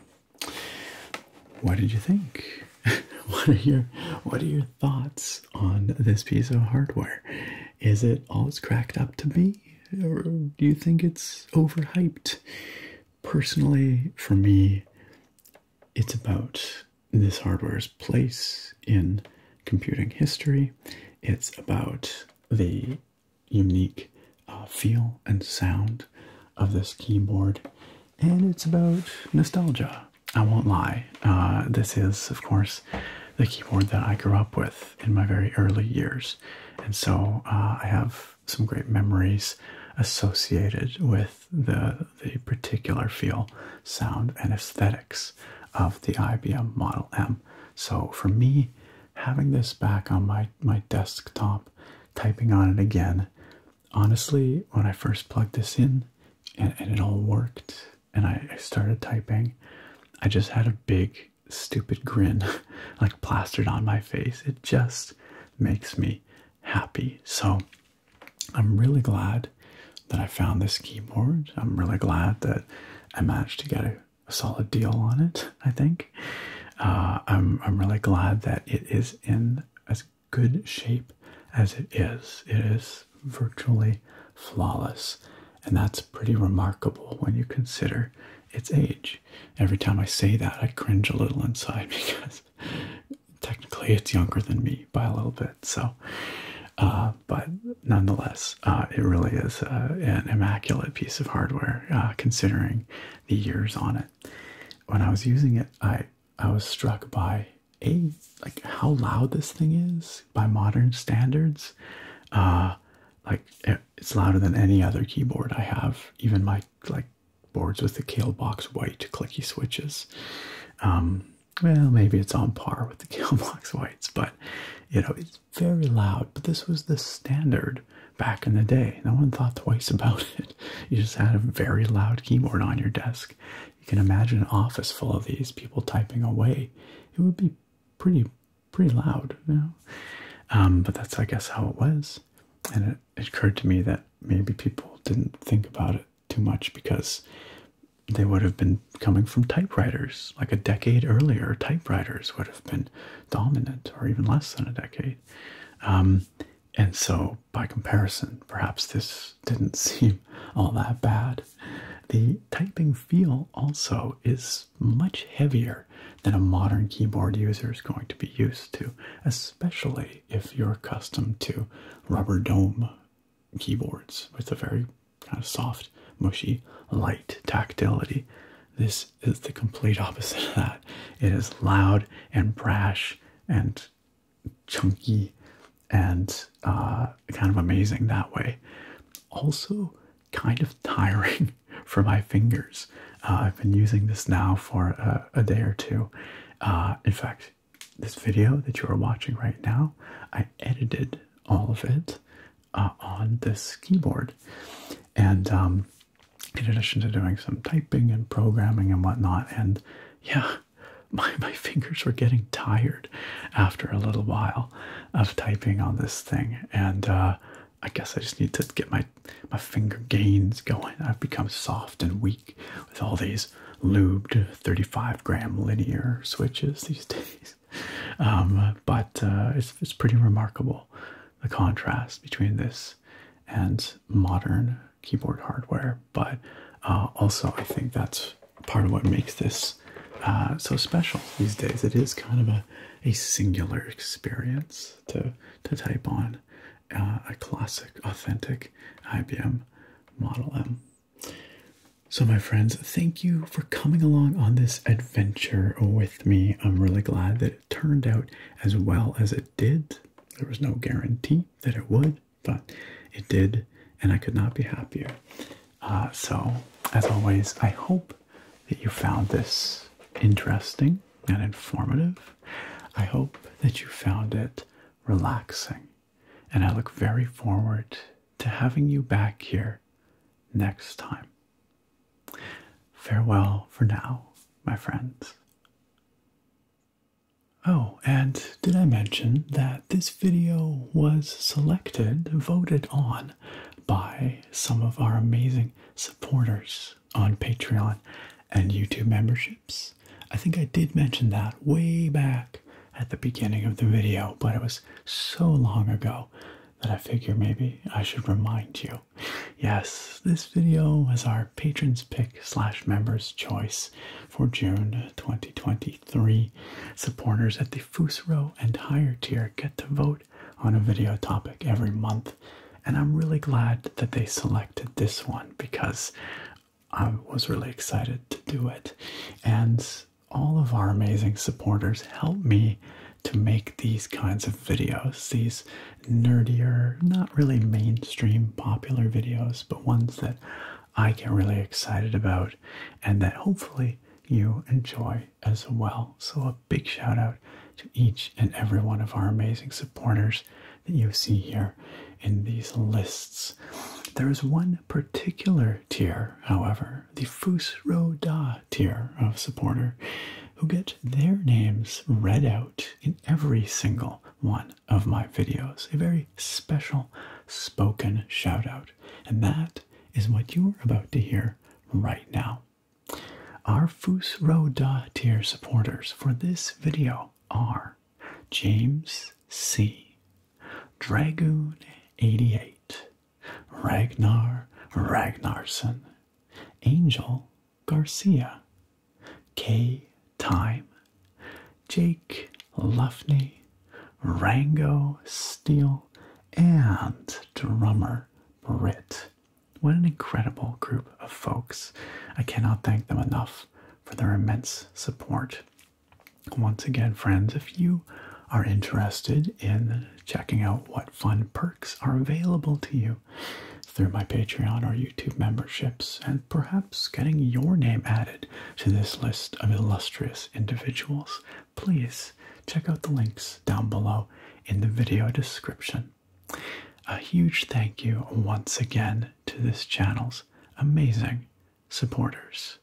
What did you think? [LAUGHS] what are your what are your thoughts on this piece of hardware? Is it all it's cracked up to be? Or do you think it's overhyped? Personally, for me, it's about this hardware's place in computing history. It's about the unique uh, feel and sound of this keyboard, and it's about nostalgia. I won't lie. Uh, this is, of course, the keyboard that I grew up with in my very early years, and so uh, I have some great memories associated with the the particular feel, sound, and aesthetics of the IBM Model M. So for me, having this back on my, my desktop, typing on it again, honestly, when I first plugged this in and, it all worked and I started typing, I just had a big, stupid grin [LAUGHS] like plastered on my face. It just makes me happy. So I'm really glad that I found this keyboard. I'm really glad that I managed to get a, solid deal on it, I think. Uh, I'm, I'm really glad that it is in as good shape as it is. It is virtually flawless, and that's pretty remarkable when you consider its age. Every time I say that, I cringe a little inside [LAUGHS] because technically it's younger than me by a little bit. So, uh, but nonetheless, uh, it really is uh, an immaculate piece of hardware uh, considering the years on it. When I was using it, I I was struck by a like how loud this thing is by modern standards. like it's louder than any other keyboard I have, even my like boards with the Kalebox White clicky switches. Um, well, maybe it's on par with the [LAUGHS] Kalebox Whites, but you know it's very loud, but this was the standard back in the day. No one thought twice [LAUGHS] about it. You just had a very loud keyboard on your desk. You can imagine an office full of these people typing away. It would be pretty, pretty loud, you know. Um, but that's, I guess, how it was. And it occurred to me that maybe people didn't think about it too much because they would have been coming from typewriters. Like a decade earlier, typewriters would have been dominant, or even less than a decade. Um, and so, by comparison, perhaps this didn't [LAUGHS] seem all that bad. The typing feel also is much heavier than a modern keyboard user is going to be used to, especially if you're accustomed to rubber dome keyboards with a very kind of soft, mushy, light tactility. This is the complete opposite of that. It is loud and brash and chunky and uh, kind of amazing that way. Also, kind of tiring [LAUGHS] for my fingers. Uh, I've been using this now for a, day or two. Uh, in fact, this video that you are watching right now, I edited all of it uh, on this keyboard. And um, in addition to doing some typing and programming and whatnot, and yeah, [LAUGHS] my, my fingers were getting tired after a little while of typing on this thing. And uh, I guess I just need to get my, my finger gains going. I've become soft and weak with all these lubed 35 gram linear switches these [LAUGHS] days. Um, but uh, it's, it's pretty remarkable the contrast between this and modern keyboard hardware. But uh, also, I think that's part of what makes this uh, so special these days. It is kind of a, a singular experience to, to type on a classic, authentic IBM Model M. So, my friends, thank you for coming along on this adventure with me. I'm really glad that it turned out as well as it did. There was no guarantee that it would, but it did, and I could not be happier. Uh, so, as always, I hope that you found this interesting and informative. I hope that you found it relaxing, and I look very forward to having you back here next time. Farewell for now, my friends. Oh, and did I mention that this video was selected, voted on by some of our amazing supporters on Patreon and YouTube memberships? I think I did mention that way back at the beginning of the video, but it was so long ago that I figure maybe I should remind you. Yes, this video was our patrons pick slash members choice for June 2023. Supporters at the Fusro and higher tier get to vote on a video topic every month, and I'm really glad that they selected this one because I was really excited to do it. And all of our amazing supporters help me to make these kinds of videos, these nerdier, not really mainstream popular videos, but ones that I get really excited about and that hopefully you enjoy as well. So, a big shout out to each and every one of our amazing supporters that you see here in these lists. There is one particular tier, however, the Fusro Da tier of supporter, who get their names read out in every single one of my videos. A very special spoken shout out. And that is what you're about to hear right now. Our Fusro Da tier supporters for this video are James C. Dragoon 88 Ragnar Ragnarsson, Angel Garcia, K. Time, Jake Luffney, Rango Steele, and drummer Britt. What an incredible group of folks. I cannot thank them enough for their immense support. Once again, friends, if you are interested in checking out what fun perks are available to you through my Patreon or YouTube memberships, and perhaps getting your name added to this list of illustrious individuals, please check out the links down below in the video description. A huge thank you once again to this channel's amazing supporters.